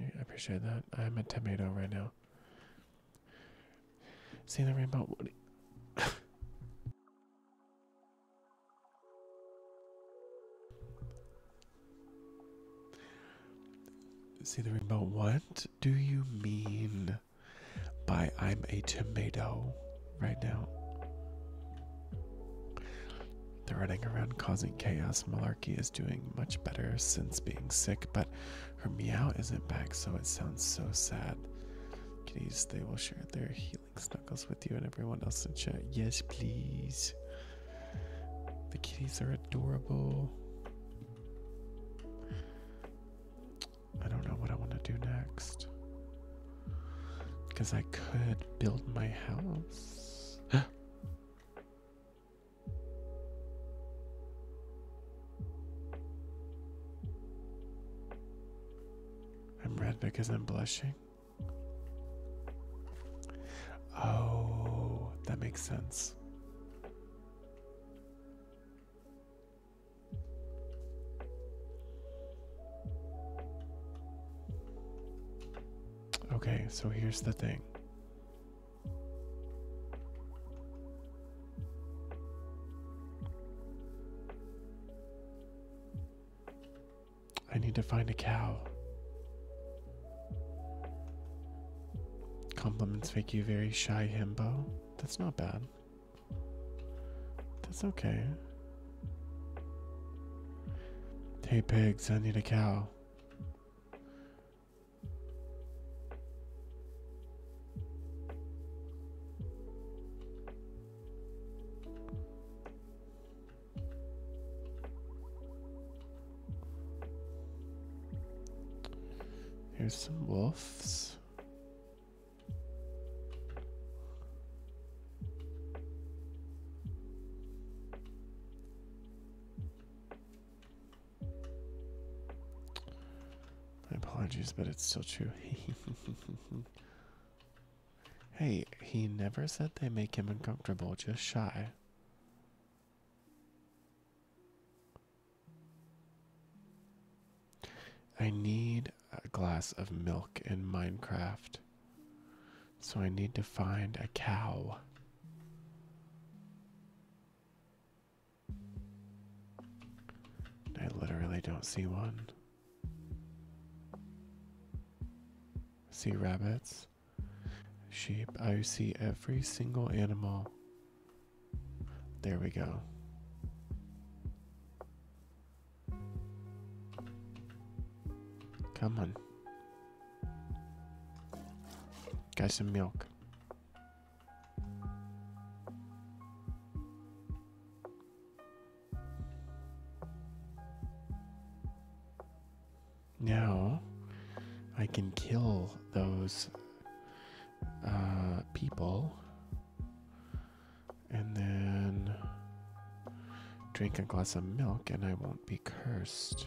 I appreciate that. I'm a tomato right now. See the rainbow. See the rainbow. What do you mean by I'm a tomato right now? The running around causing chaos malarkey is doing much better since being sick, but her meow isn't back, so it sounds so sad. Kitties, they will share their healing snuggles with you and everyone else in chat. Yes, please. The kitties are adorable. I don't know what I want to do next. Because I could build my house. I'm red because I'm blushing. Oh, that makes sense. Okay, so here's the thing. I need to find a cow. Compliments make you very shy, himbo. That's not bad. That's okay. Hey pigs, I need a cow. Here's some wolves. My apologies, but it's still true. hey, he never said they make him uncomfortable, just shy. I need a glass of milk in Minecraft. So I need to find a cow. I literally don't see one. See rabbits, sheep. I see every single animal. There we go. Come on. Got some milk. Now I can kill those uh, people and then drink a glass of milk and I won't be cursed.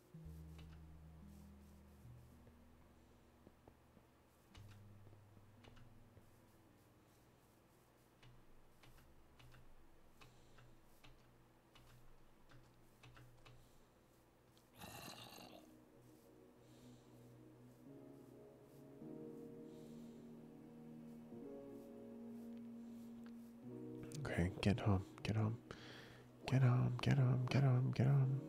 Okay, get home, get home. Get him, get him, get him, get him.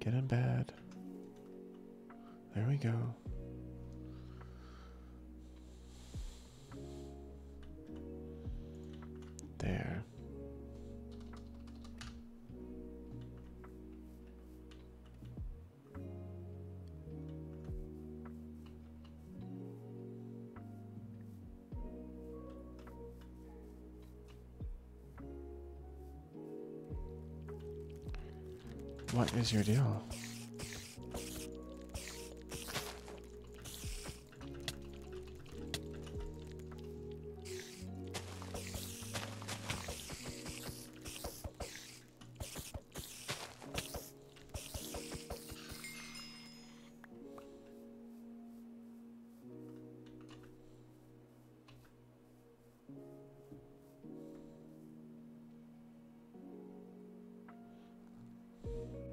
Get in bed. There we go. There. What is your deal?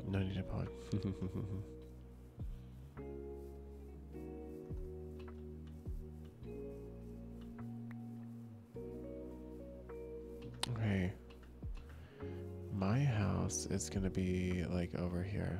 No need to pod. okay. My house is gonna be like over here.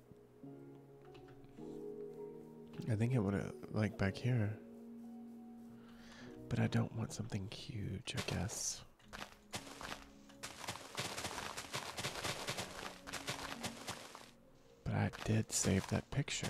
I think it would have, like, back here. But I don't want something huge, I guess. But I did save that picture.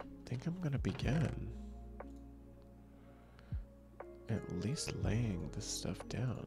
I think I'm gonna begin at least laying this stuff down.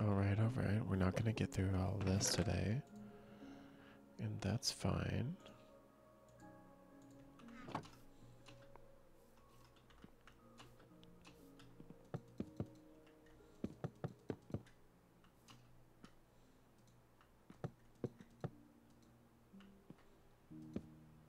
Alright, alright. We're not going to get through all this today. And that's fine.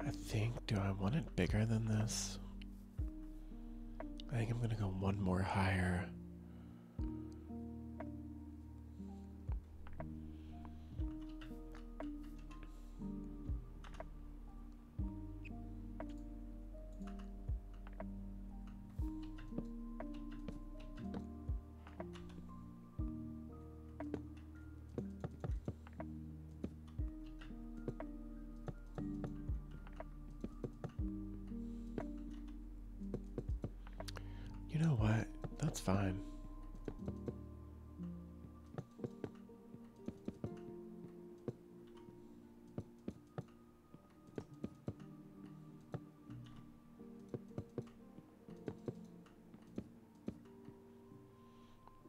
I think, do I want it bigger than this? I think I'm gonna go one more higher. You know what? That's fine.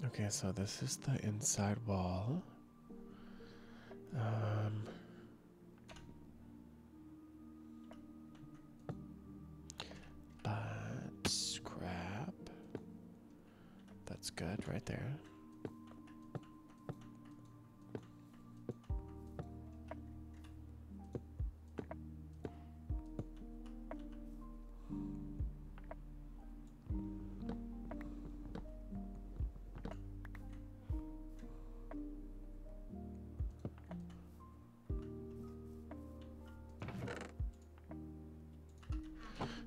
Okay, so this is the inside wall. Um, but scrap. That's good right there.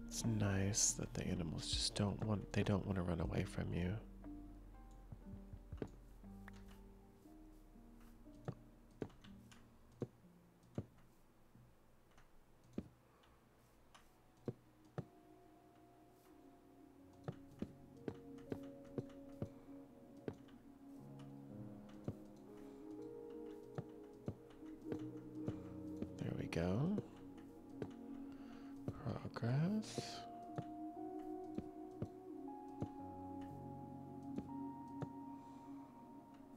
It's nice that the animals just don't want they don't want to run away from you. There we go. Progress.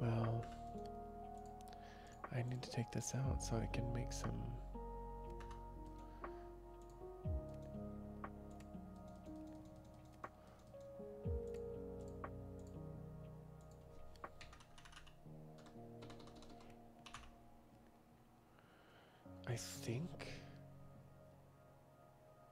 well, I need to take this out so I can make some. I think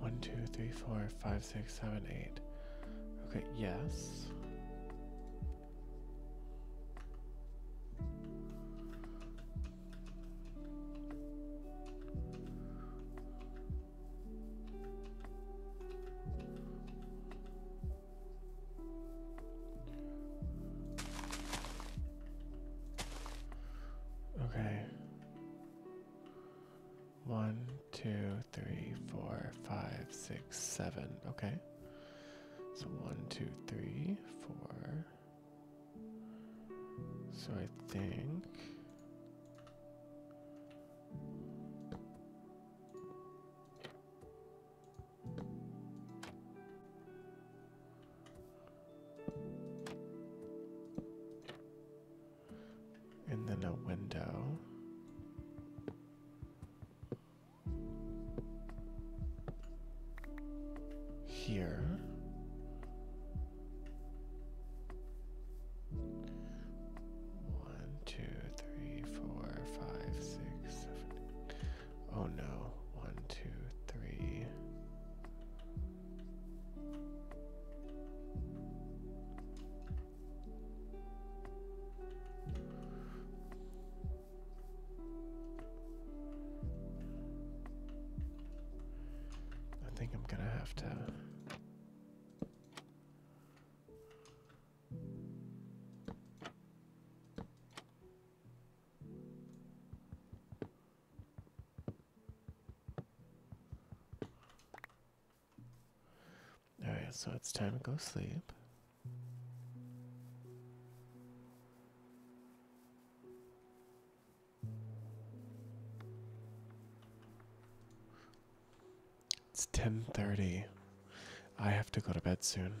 One, two, three, four, five, six, seven, eight. Okay, yes. Okay. One, two, three, four, five, six, seven. Okay. So one, two, three, four. So I think. And then a window. Here. One, two, three, four, Oh no. One, two, three. I think I'm gonna have to. All right, so it's time to go sleep. It's 10:30. I have to go to bed soon.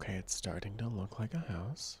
Okay, it's starting to look like a house.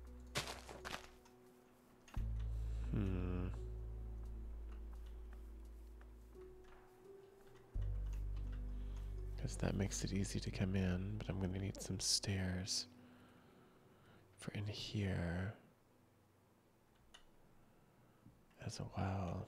Hmm. Because that makes it easy to come in, but I'm going to need some stairs for in here as well.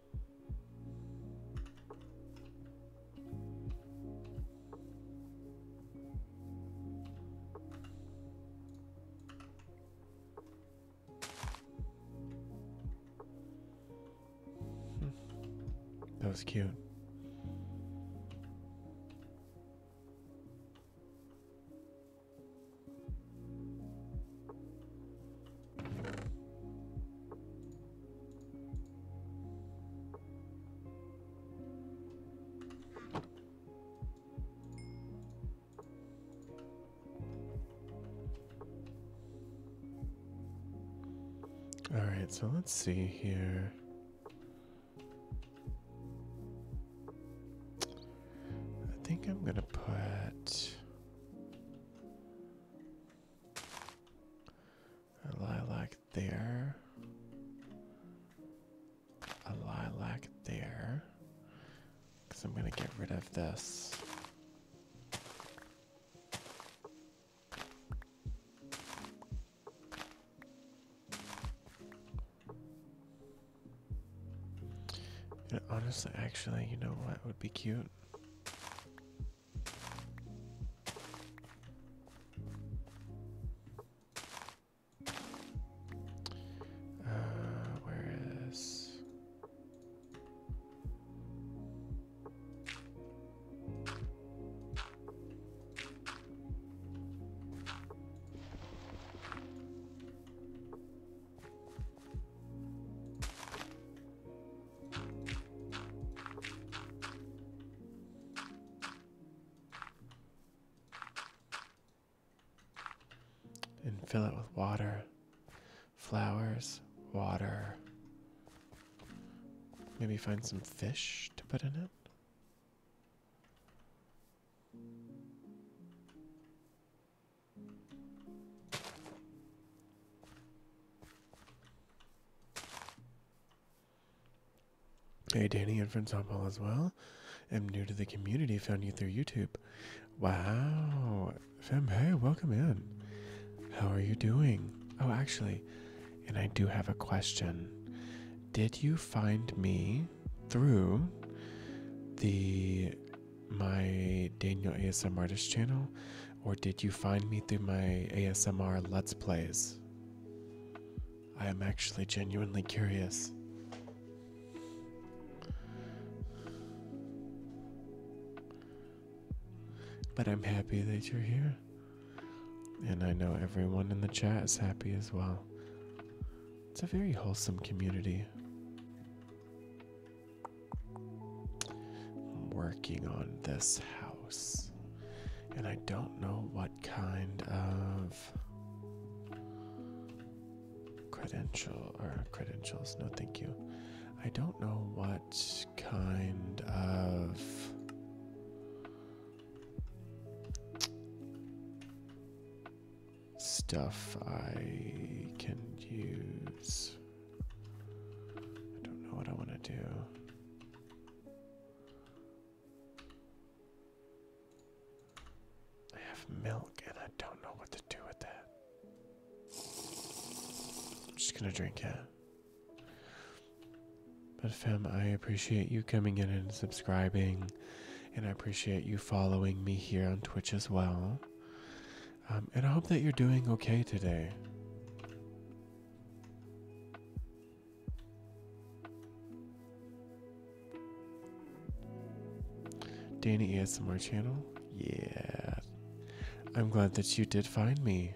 That was cute. All right, so let's see here. I think I'm gonna put a lilac there. A lilac there. Because I'm going to get rid of this. honestly, actually, you know what would be cute? Uh, where is and fill it with water, flowers, water. Maybe find some fish to put in it. Hey Danny and from softball as well. I'm new to the community, found you through YouTube. Wow. Fem, hey, welcome in. How are you doing? Oh, actually, and I do have a question. Did you find me through the my Daniel ASM artist channel or did you find me through my ASMR Let's Plays? I am actually genuinely curious. But I'm happy that you're here. And I know everyone in the chat is happy as well. It's a very wholesome community. I'm working on this house. And I don't know what kind of credential or credentials, no thank you. I don't know what kind of stuff I can use. I don't know what I want to do. I have milk and I don't know what to do with that. I'm just gonna drink it. But fam, I appreciate you coming in and subscribing, and I appreciate you following me here on Twitch as well. Um, and I hope that you're doing okay today. Danny on ASMR channel? Yeah. I'm glad that you did find me.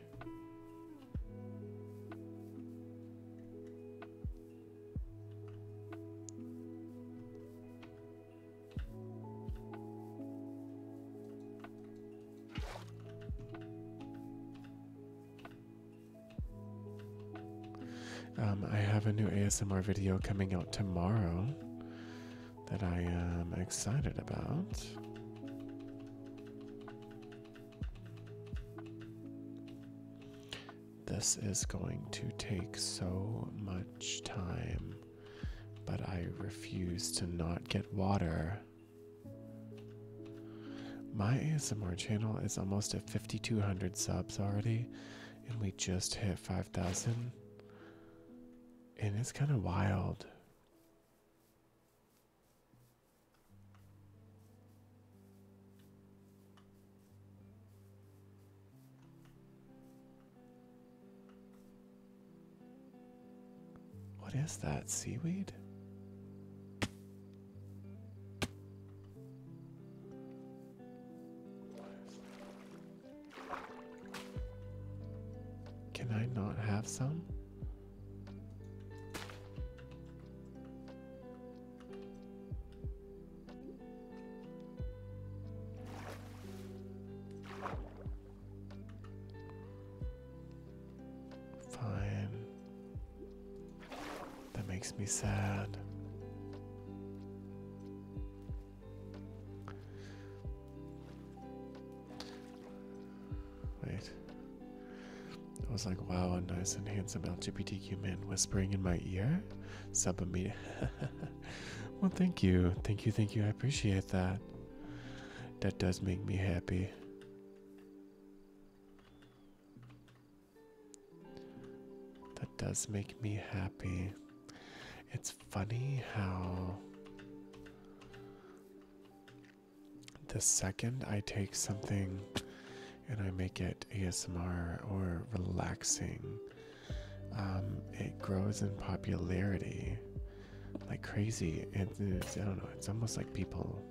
Um, I have a new ASMR video coming out tomorrow that I am excited about. This is going to take so much time, but I refuse to not get water. My ASMR channel is almost at 5,200 subs already, and we just hit 5,000. And it's kind of wild. What is that? Seaweed? Can I not have some? Fine. That makes me sad. Wait. I was like, wow, a nice and handsome LGBTQ man whispering in my ear? Sub immediate. well, thank you. Thank you, thank you. I appreciate that. That does make me happy. That does make me happy. It's funny how the second I take something and I make it ASMR or relaxing, um, it grows in popularity like crazy. And I don't know, it's almost like people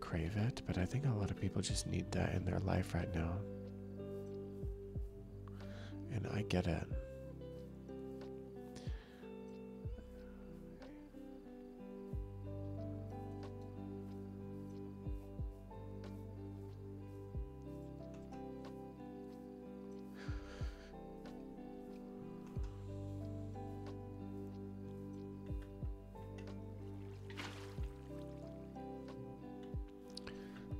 crave it, but I think a lot of people just need that in their life right now. And I get it.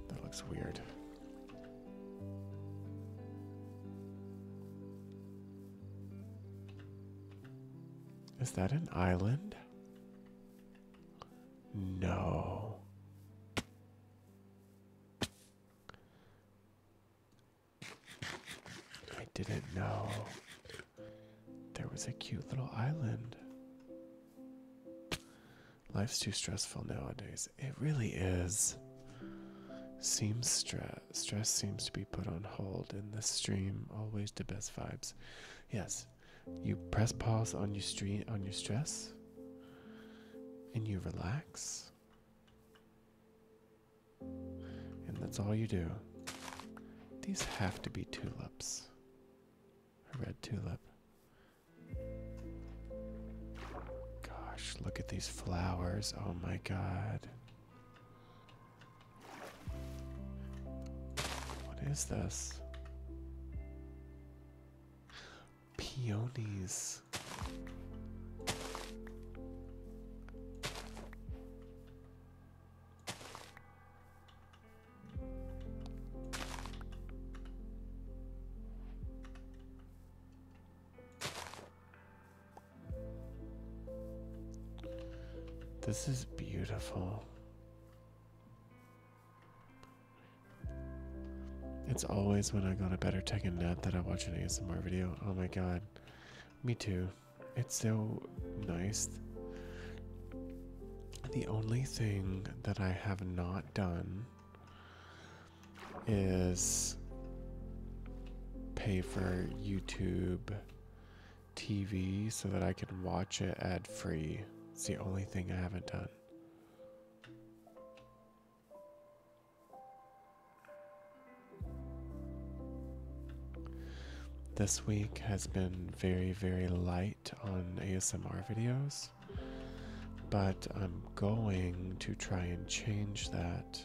That looks weird. Is that an island? No. I didn't know there was a cute little island. Life's too stressful nowadays. It really is. Seems stress. Stress seems to be put on hold in the stream. Always the best vibes. Yes, you press pause on your stream on your stress, and you relax. And that's all you do. These have to be tulips. A red tulip. Gosh, look at these flowers. Oh my god. What is this? Peonies. This is beautiful. It's always when I got a better tech and a that I watch an ASMR video. Oh my god. Me too it's so nice. The only thing that I have not done is pay for YouTube TV so that I can watch it ad free. It's the only thing I haven't done. This week has been very, very light on ASMR videos, but I'm going to try and change that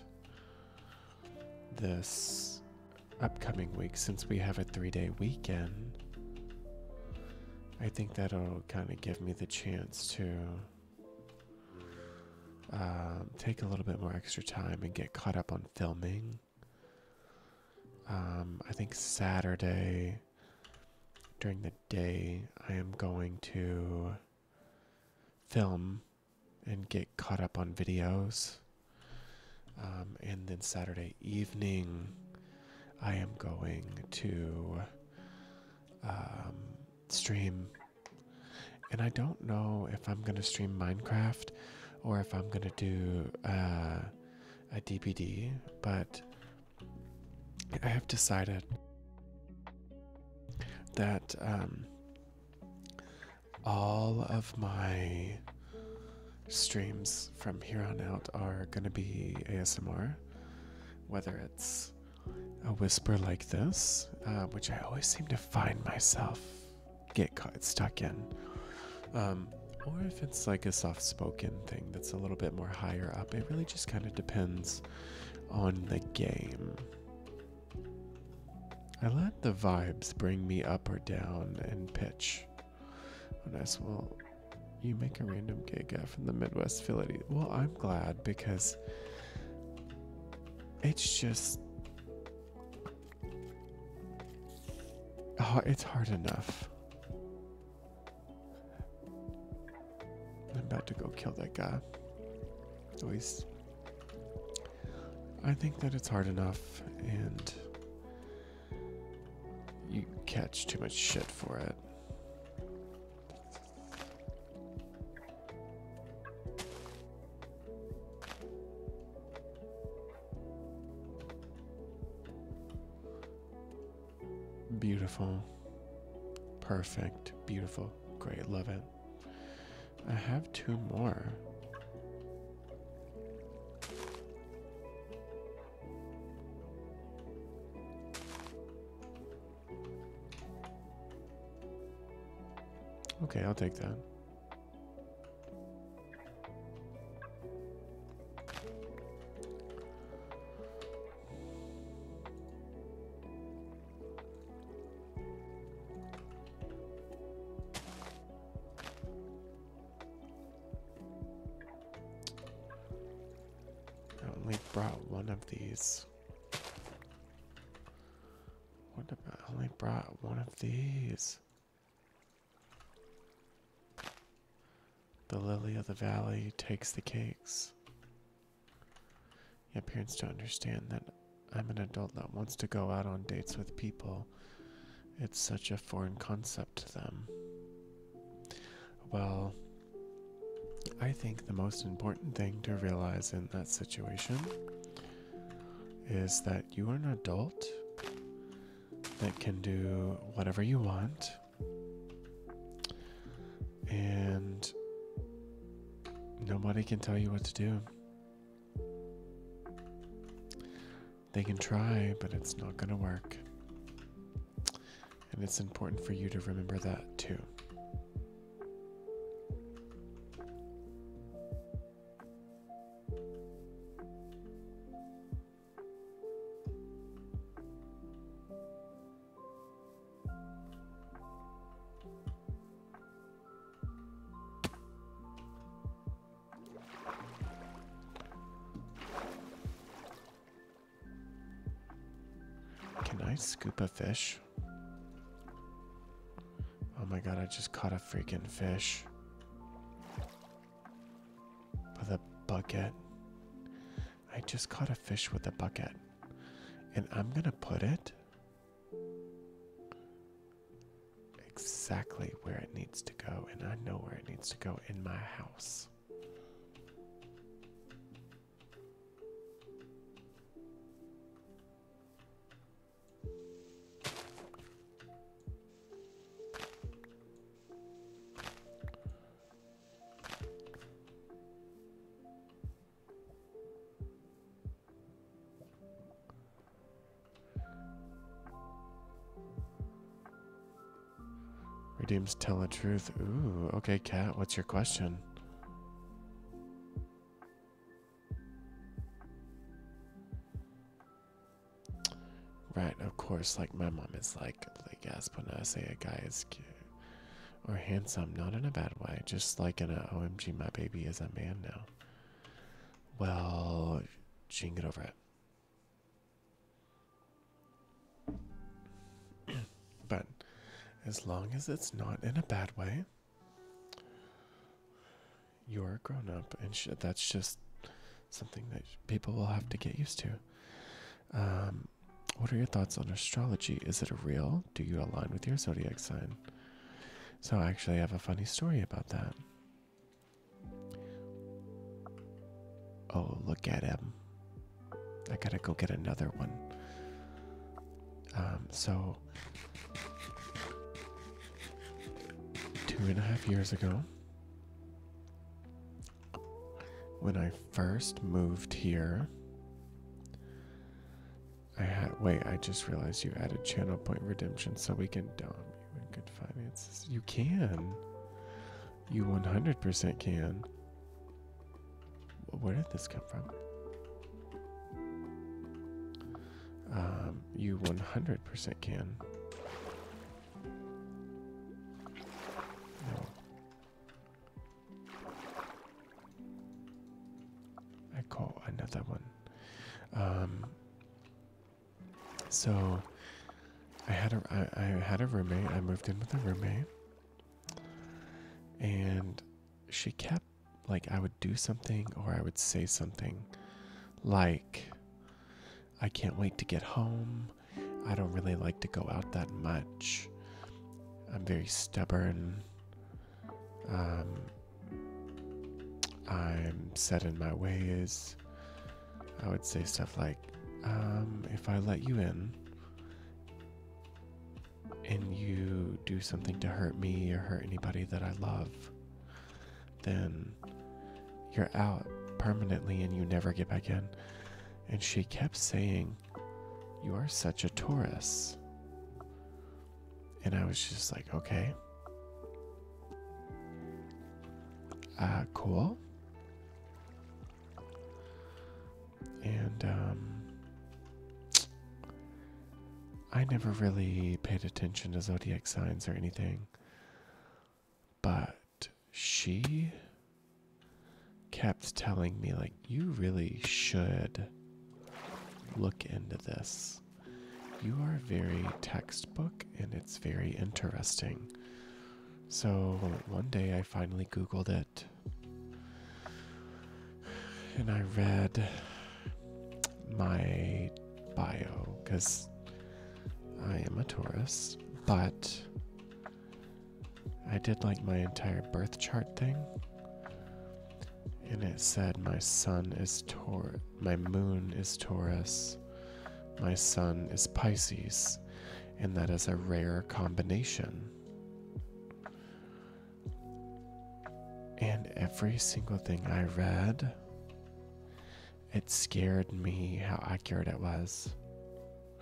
this upcoming week since we have a three day weekend. I think that'll kind of give me the chance to uh, take a little bit more extra time and get caught up on filming. Um, I think Saturday during the day, I am going to film and get caught up on videos. Um, and then Saturday evening, I am going to um, stream and I don't know if I'm going to stream Minecraft or if I'm going to do uh, a DPD, but I have decided that um, all of my streams from here on out are going to be ASMR, whether it's a whisper like this, uh, which I always seem to find myself get caught stuck in. Um, or if it's like a soft spoken thing that's a little bit more higher up. It really just kind of depends on the game. I let the vibes bring me up or down in pitch. When I well, you make a random gay guy from the Midwest Philly. Well, I'm glad because it's just Oh, it's hard enough. I'm about to go kill that guy. At least I think that it's hard enough and you catch too much shit for it. Beautiful. Perfect. Beautiful. Great. Love it. I have two more. Okay, I'll take that. I only brought one of these. What about I only brought one of these? The lily of the valley takes the cakes. Your parents don't understand that I'm an adult that wants to go out on dates with people. It's such a foreign concept to them. Well, I think the most important thing to realize in that situation is that you are an adult that can do whatever you want and nobody can tell you what to do. They can try, but it's not going to work. And it's important for you to remember that too. Can I scoop a fish? Oh my god, I just caught a freaking fish. With a bucket. I just caught a fish with a bucket. And I'm gonna put it exactly where it needs to go. And I know where it needs to go in my house. Redeems tell the truth. Ooh, okay, Cat, what's your question? Right, of course, like my mom is like, like yes, when I say a guy is cute or handsome, not in a bad way, just like in a OMG, my baby is a man now. Well, she can get over it. but as long as it's not in a bad way, you're a grown up, and that's just something that people will have to get used to. Um, what are your thoughts on astrology? Is it real? Do you align with your zodiac sign? So, I actually have a funny story about that. Oh, look at him. I gotta go get another one. Um, so, Two and a half years ago, when I first moved here, I had. Wait, I just realized you added channel point redemption so we can dump you in good finances. You can. You 100% can. Where did this come from? Um, you 100% can. I call another one. Um, so I had a I, I had a roommate. I moved in with a roommate, and she kept like I would do something or I would say something like, I can't wait to get home. I don't really like to go out that much. I'm very stubborn. Um, I'm set in my ways. I would say stuff like, um, if I let you in and you do something to hurt me or hurt anybody that I love, then you're out permanently and you never get back in. And she kept saying, You are such a Taurus. And I was just like, Okay. Ah, cool. And um, I never really paid attention to zodiac signs or anything, but she kept telling me, like, you really should look into this. You are very textbook and it's very interesting. So one day I finally Googled it and I read my bio because I am a Taurus, but I did like my entire birth chart thing. And it said my sun is Taurus, my moon is Taurus, my sun is Pisces, and that is a rare combination. And every single thing I read it scared me how accurate it was.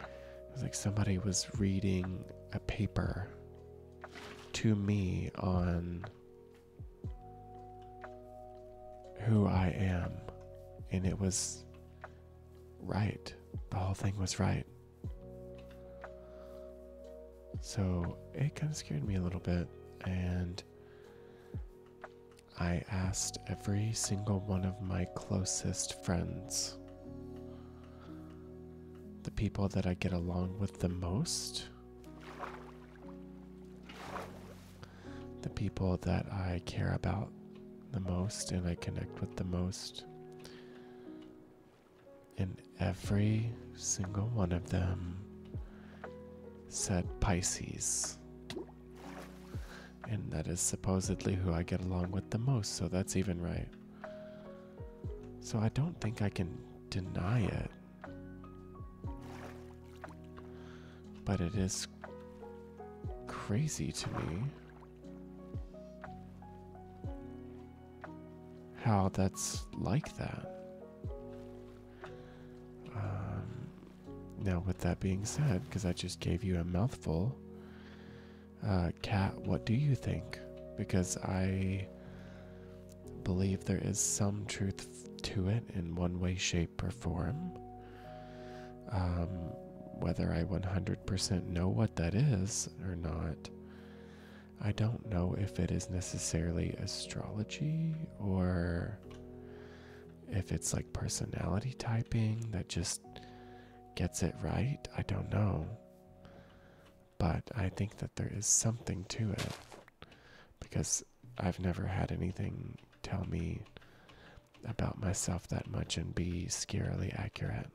It was like somebody was reading a paper to me on who I am, and it was right. The whole thing was right. So it kind of scared me a little bit, and I asked every single one of my closest friends, the people that I get along with the most, the people that I care about the most and I connect with the most. And every single one of them said Pisces. And that is supposedly who I get along with the most, so that's even right. So I don't think I can deny it. But it is crazy to me how that's like that. Um, now, with that being said, because I just gave you a mouthful, cat, uh, what do you think? Because I believe there is some truth to it in one way, shape, or form. Um, whether I 100% know what that is or not, I don't know if it is necessarily astrology or if it's like personality typing that just gets it right, I don't know. But I think that there is something to it because I've never had anything tell me about myself that much and be scarily accurate.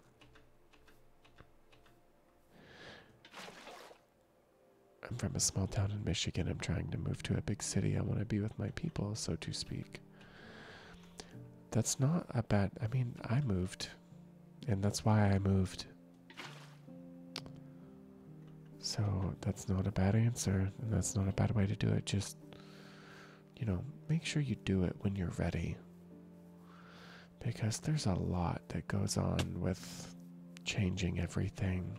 I'm from a small town in Michigan. I'm trying to move to a big city. I want to be with my people, so to speak. That's not a bad. I mean, I moved, and that's why I moved. So that's not a bad answer, and that's not a bad way to do it. Just, you know, make sure you do it when you're ready. Because there's a lot that goes on with changing everything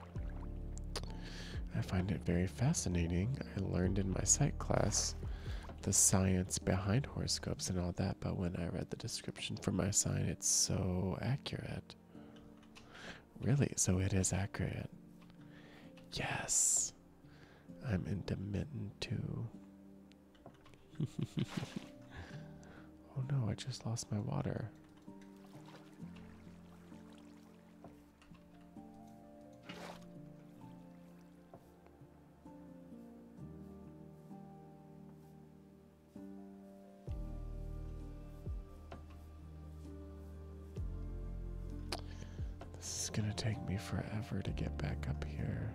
I find it very fascinating. I learned in my psych class the science behind horoscopes and all that, but when I read the description for my sign, it's so accurate. Really? So it is accurate. Yes. I'm intermittent too. oh no, I just lost my water. This is going to take me forever to get back up here.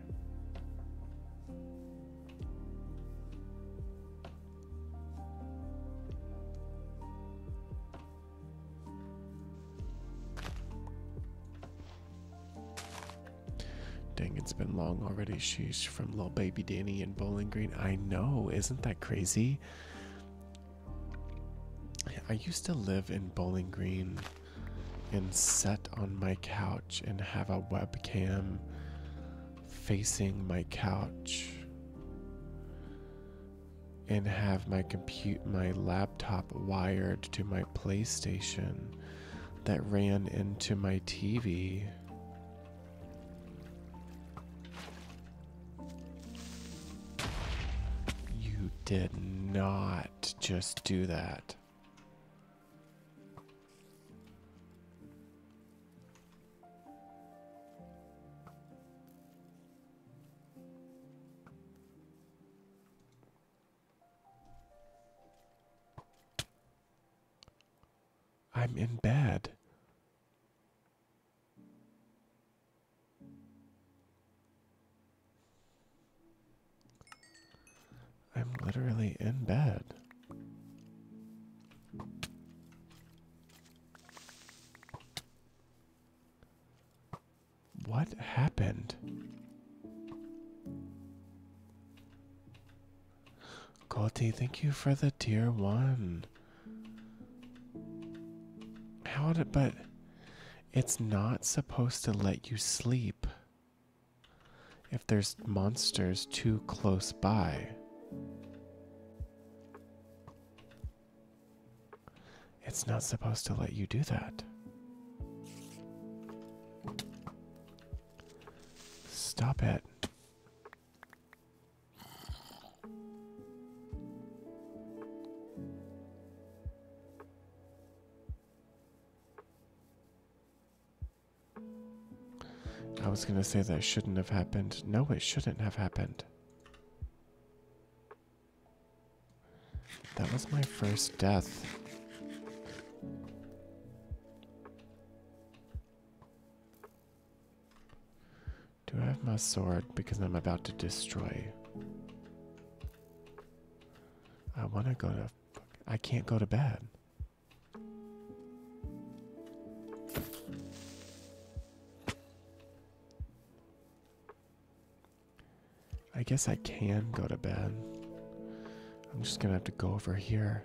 Dang, it's been long already. She's from little baby Danny in Bowling Green. I know, isn't that crazy? I used to live in Bowling Green and sit on my couch and have a webcam facing my couch and have my compute my laptop wired to my PlayStation that ran into my TV. You did not just do that. I'm in bed. I'm literally in bed. What happened? Goldie, thank you for the tier one. How did it, but it's not supposed to let you sleep if there's monsters too close by. It's not supposed to let you do that. Stop it. I was gonna say that shouldn't have happened. No, it shouldn't have happened. That was my first death. Do I have my sword? Because I'm about to destroy. I want to go to... I can't go to bed. I guess I can go to bed. I'm just gonna have to go over here.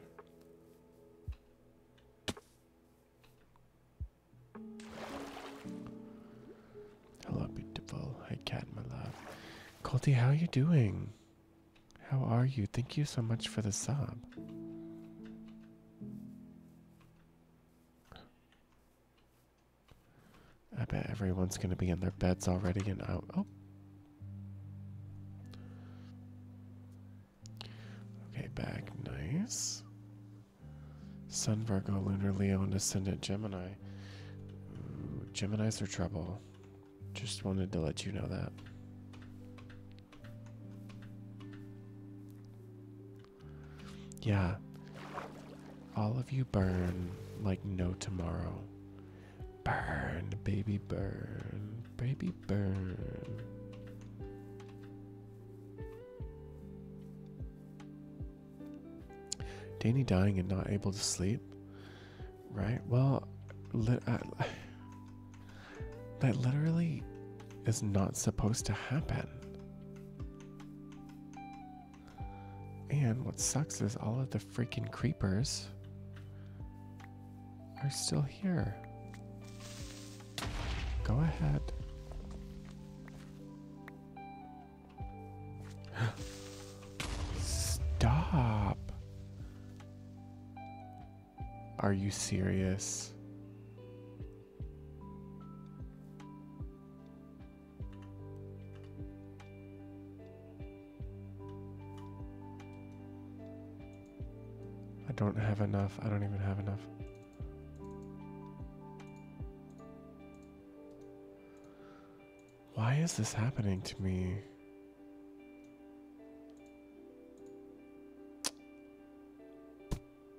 Hello, beautiful. Hi, cat, my love. Colty, how are you doing? How are you? Thank you so much for the sob. I bet everyone's going to be in their beds already and out. Oh. Okay, back. Nice. Sun, Virgo, Lunar, Leo, and Ascendant Gemini. Geminis are trouble. Just wanted to let you know that. Yeah. All of you burn like no tomorrow. Burn, baby, burn, baby, burn. Danny dying and not able to sleep? Right? Well, I, that literally is not supposed to happen. And what sucks is all of the freaking creepers are still here. Go ahead. Stop. Are you serious? I don't have enough. I don't even have enough. Why is this happening to me?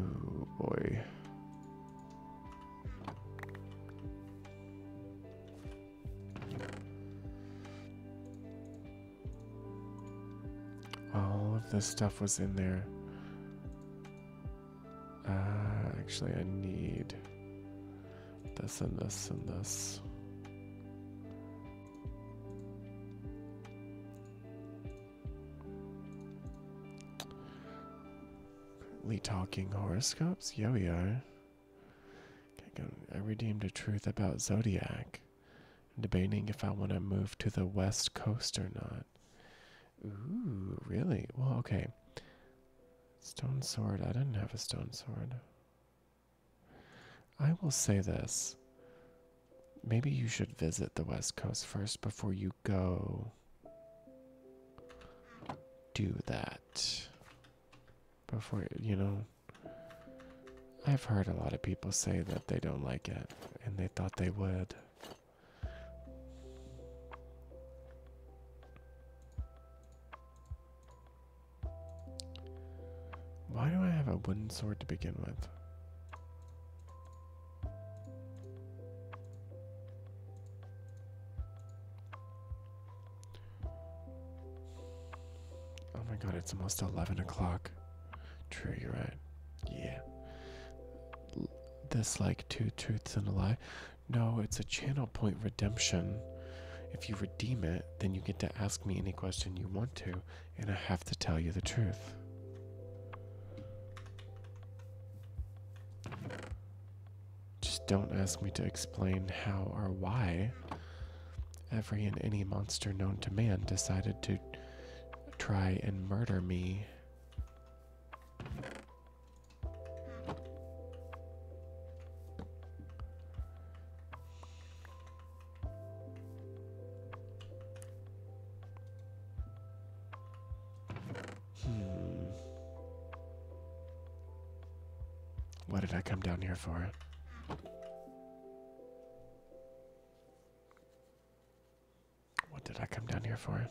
Oh boy. All of this stuff was in there. Uh, actually, I need this and this and this. Currently talking horoscopes? Yeah, we are. I redeemed a truth about Zodiac. debating if I want to move to the West Coast or not. Ooh, really? Well, okay. Stone sword. I didn't have a stone sword. I will say this. Maybe you should visit the West Coast first before you go do that. Before, you know, I've heard a lot of people say that they don't like it and they thought they would. Why do I have a wooden sword to begin with? Oh my god, it's almost 11 o'clock. True, you're right. Yeah. this, like, two truths and a lie. No, it's a channel point redemption. If you redeem it, then you get to ask me any question you want to and I have to tell you the truth. Just don't ask me to explain how or why every and any monster known to man decided to try and murder me. Hmm. What did I come down here for? What did I come down here for?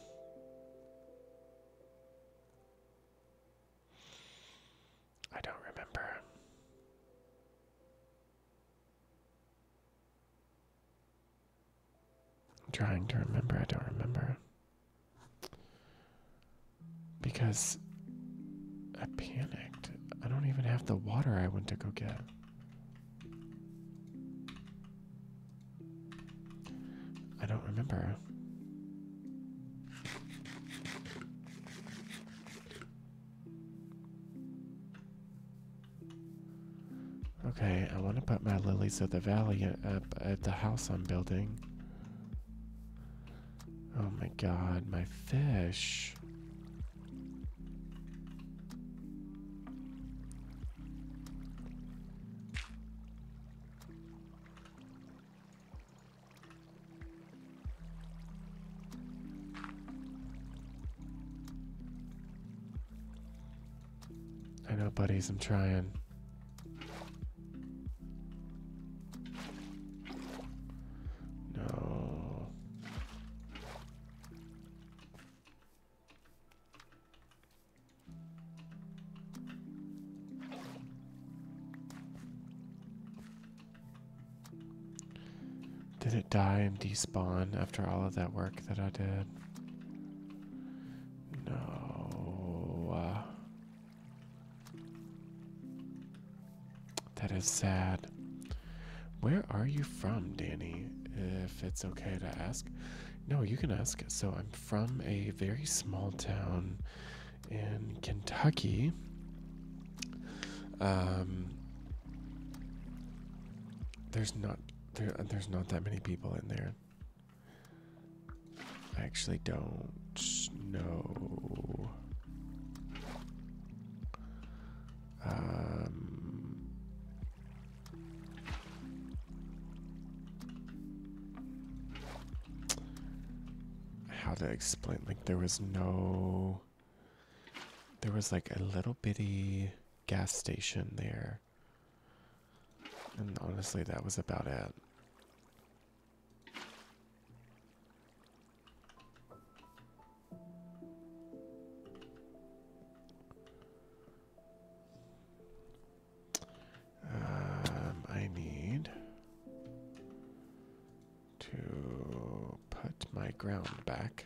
I don't remember. I'm trying to remember, I don't remember. Because I panicked. I don't even have the water I went to go get. I don't remember. Okay, I want to put my lilies of the valley up at the house I'm building. Oh my god, my fish. I know, buddies, I'm trying. No. Did it die and despawn after all of that work that I did? No. Uh, that is sad. Where are you from, Danny? If it's okay to ask. No, you can ask. So I'm from a very small town in Kentucky. Um, there's not there, there's not that many people in there. I actually don't know. Um, how to explain? Like, there was no. There was like a little bitty gas station there. And honestly, that was about it. Um, I need to put my ground back.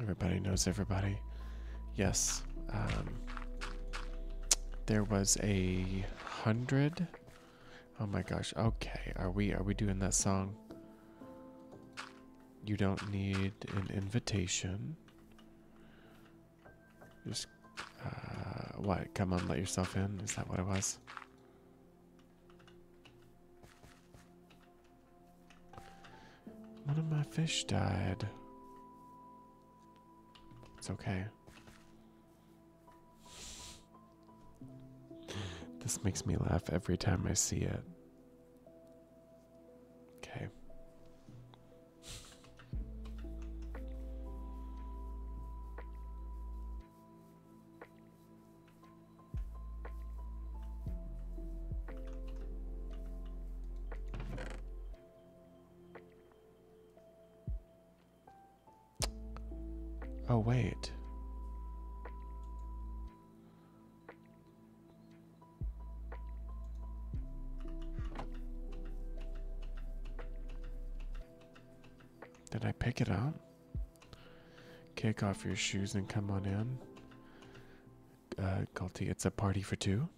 Everybody knows everybody. Yes. Um, there was a hundred. Oh my gosh. Okay. Are we are we doing that song? You don't need an invitation. Just uh, what? Come on, let yourself in. Is that what it was? One of my fish died. It's okay. This makes me laugh every time I see it. Okay. Oh, wait. Did I pick it up? Kick off your shoes and come on in. Uh, it's a party for two.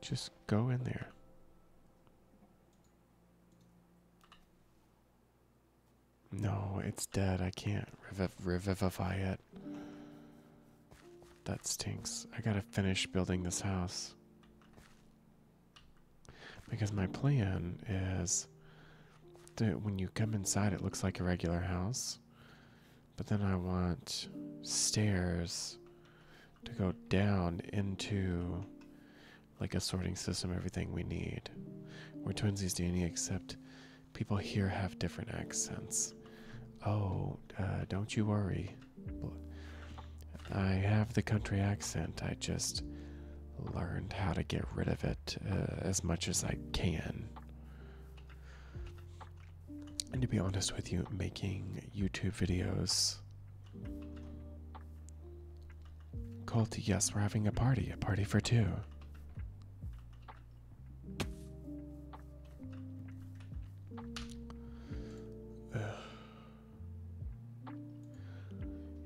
Just go in there. No, it's dead. I can't revivify it. That stinks. I gotta finish building this house. Because my plan is that when you come inside, it looks like a regular house. But then I want stairs to go down into like a sorting system, everything we need. We're twinsies, Danny, except people here have different accents. Oh, uh, don't you worry. I have the country accent. I just learned how to get rid of it uh, as much as I can. And to be honest with you, making YouTube videos. Colt, yes, we're having a party. A party for two. Ugh.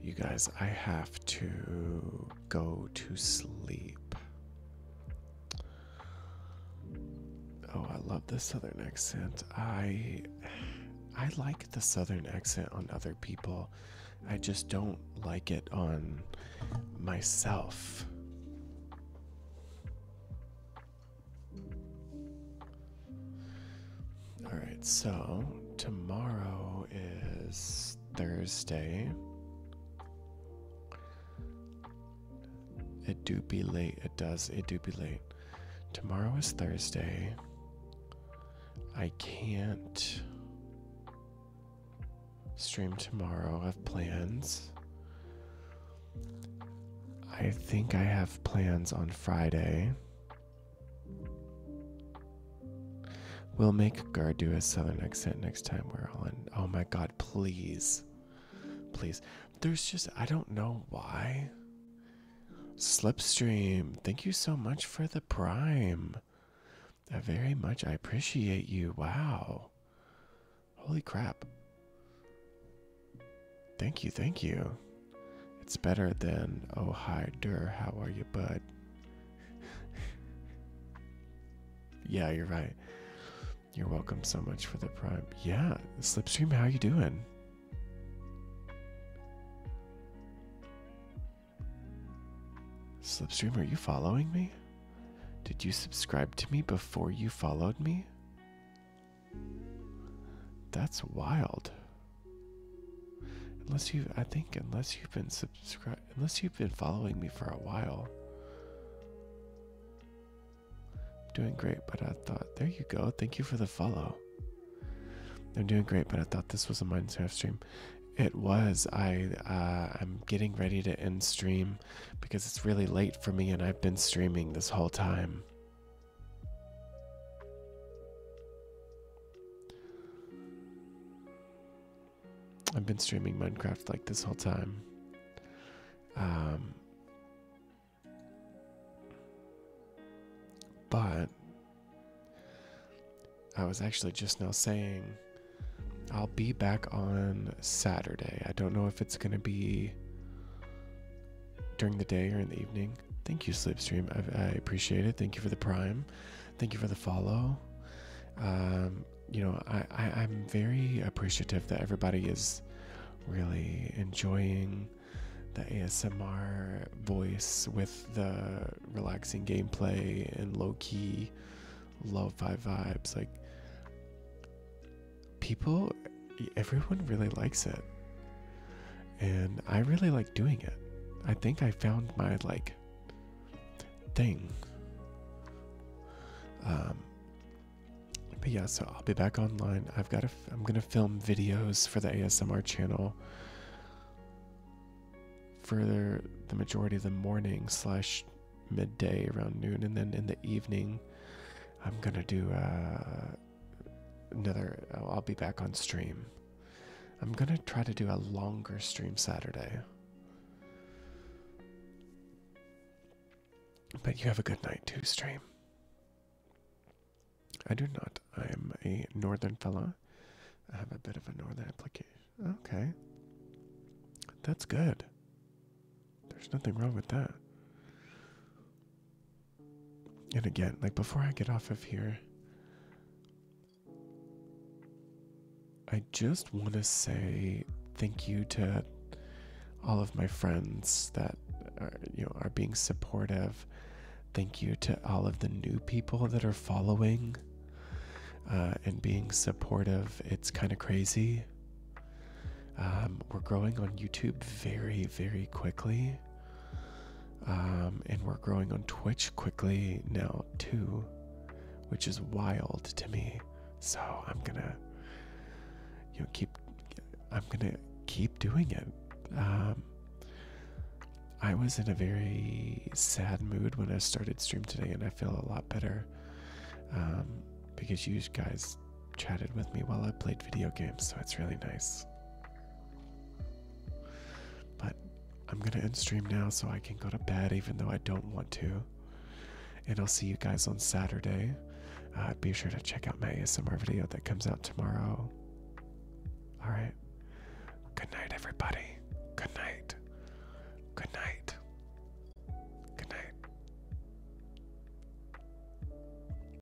You guys, I have to go to sleep. Oh, I love the southern accent. I I like the southern accent on other people. I just don't like it on myself. All right, so tomorrow is Thursday. It do be late. It does. It do be late. Tomorrow is Thursday. I can't stream tomorrow. I have plans. I think I have plans on Friday. We'll make Gar do a southern accent next time we're on. Oh my god, please. Please. There's just, I don't know why. Slipstream, thank you so much for the prime. I very much I appreciate you. Wow. Holy crap. Thank you, thank you. It's better than, oh, hi, Dur, how are you, bud? yeah, you're right. You're welcome so much for the prime. Yeah, Slipstream, how are you doing? Slipstream, are you following me? Did you subscribe to me before you followed me? That's wild. Unless you, I think, unless you've been subscribed, unless you've been following me for a while. Doing great, but I thought, there you go. Thank you for the follow. I'm doing great, but I thought this was a Minecraft stream. It was. I uh, I'm getting ready to end stream because it's really late for me, and I've been streaming this whole time. I've been streaming Minecraft like this whole time. Um, but I was actually just now saying I'll be back on Saturday. I don't know if it's going to be during the day or in the evening. Thank you, Slipstream. I, I appreciate it. Thank you for the prime. Thank you for the follow. Um, you know, I, I, am very appreciative that everybody is really enjoying the ASMR voice with the relaxing gameplay and low key, lo five vibes. Like, people, everyone really likes it. And I really like doing it. I think I found my like thing. Um, but yeah, so I'll be back online. I've got to, I'm going to film videos for the ASMR channel Further, the, majority of the morning slash midday around noon. And then in the evening, I'm going to do, uh, another I'll be back on stream. I'm going to try to do a longer stream Saturday. But you have a good night too, stream. I do not. I am a northern fella. I have a bit of a northern application. Okay. That's good. There's nothing wrong with that. And again, like before I get off of here, I just want to say thank you to all of my friends that are, you know, are being supportive. Thank you to all of the new people that are following uh, and being supportive. It's kind of crazy. Um, we're growing on YouTube very, very quickly. Um, and we're growing on Twitch quickly now, too, which is wild to me. So I'm gonna, you know, keep, I'm gonna keep doing it. Um, I was in a very sad mood when I started stream today, and I feel a lot better um, because you guys chatted with me while I played video games, so it's really nice. But I'm gonna end stream now so I can go to bed, even though I don't want to. And I'll see you guys on Saturday. Uh, be sure to check out my ASMR video that comes out tomorrow. Alright. Good night, everybody. Good night. Good night. Good night.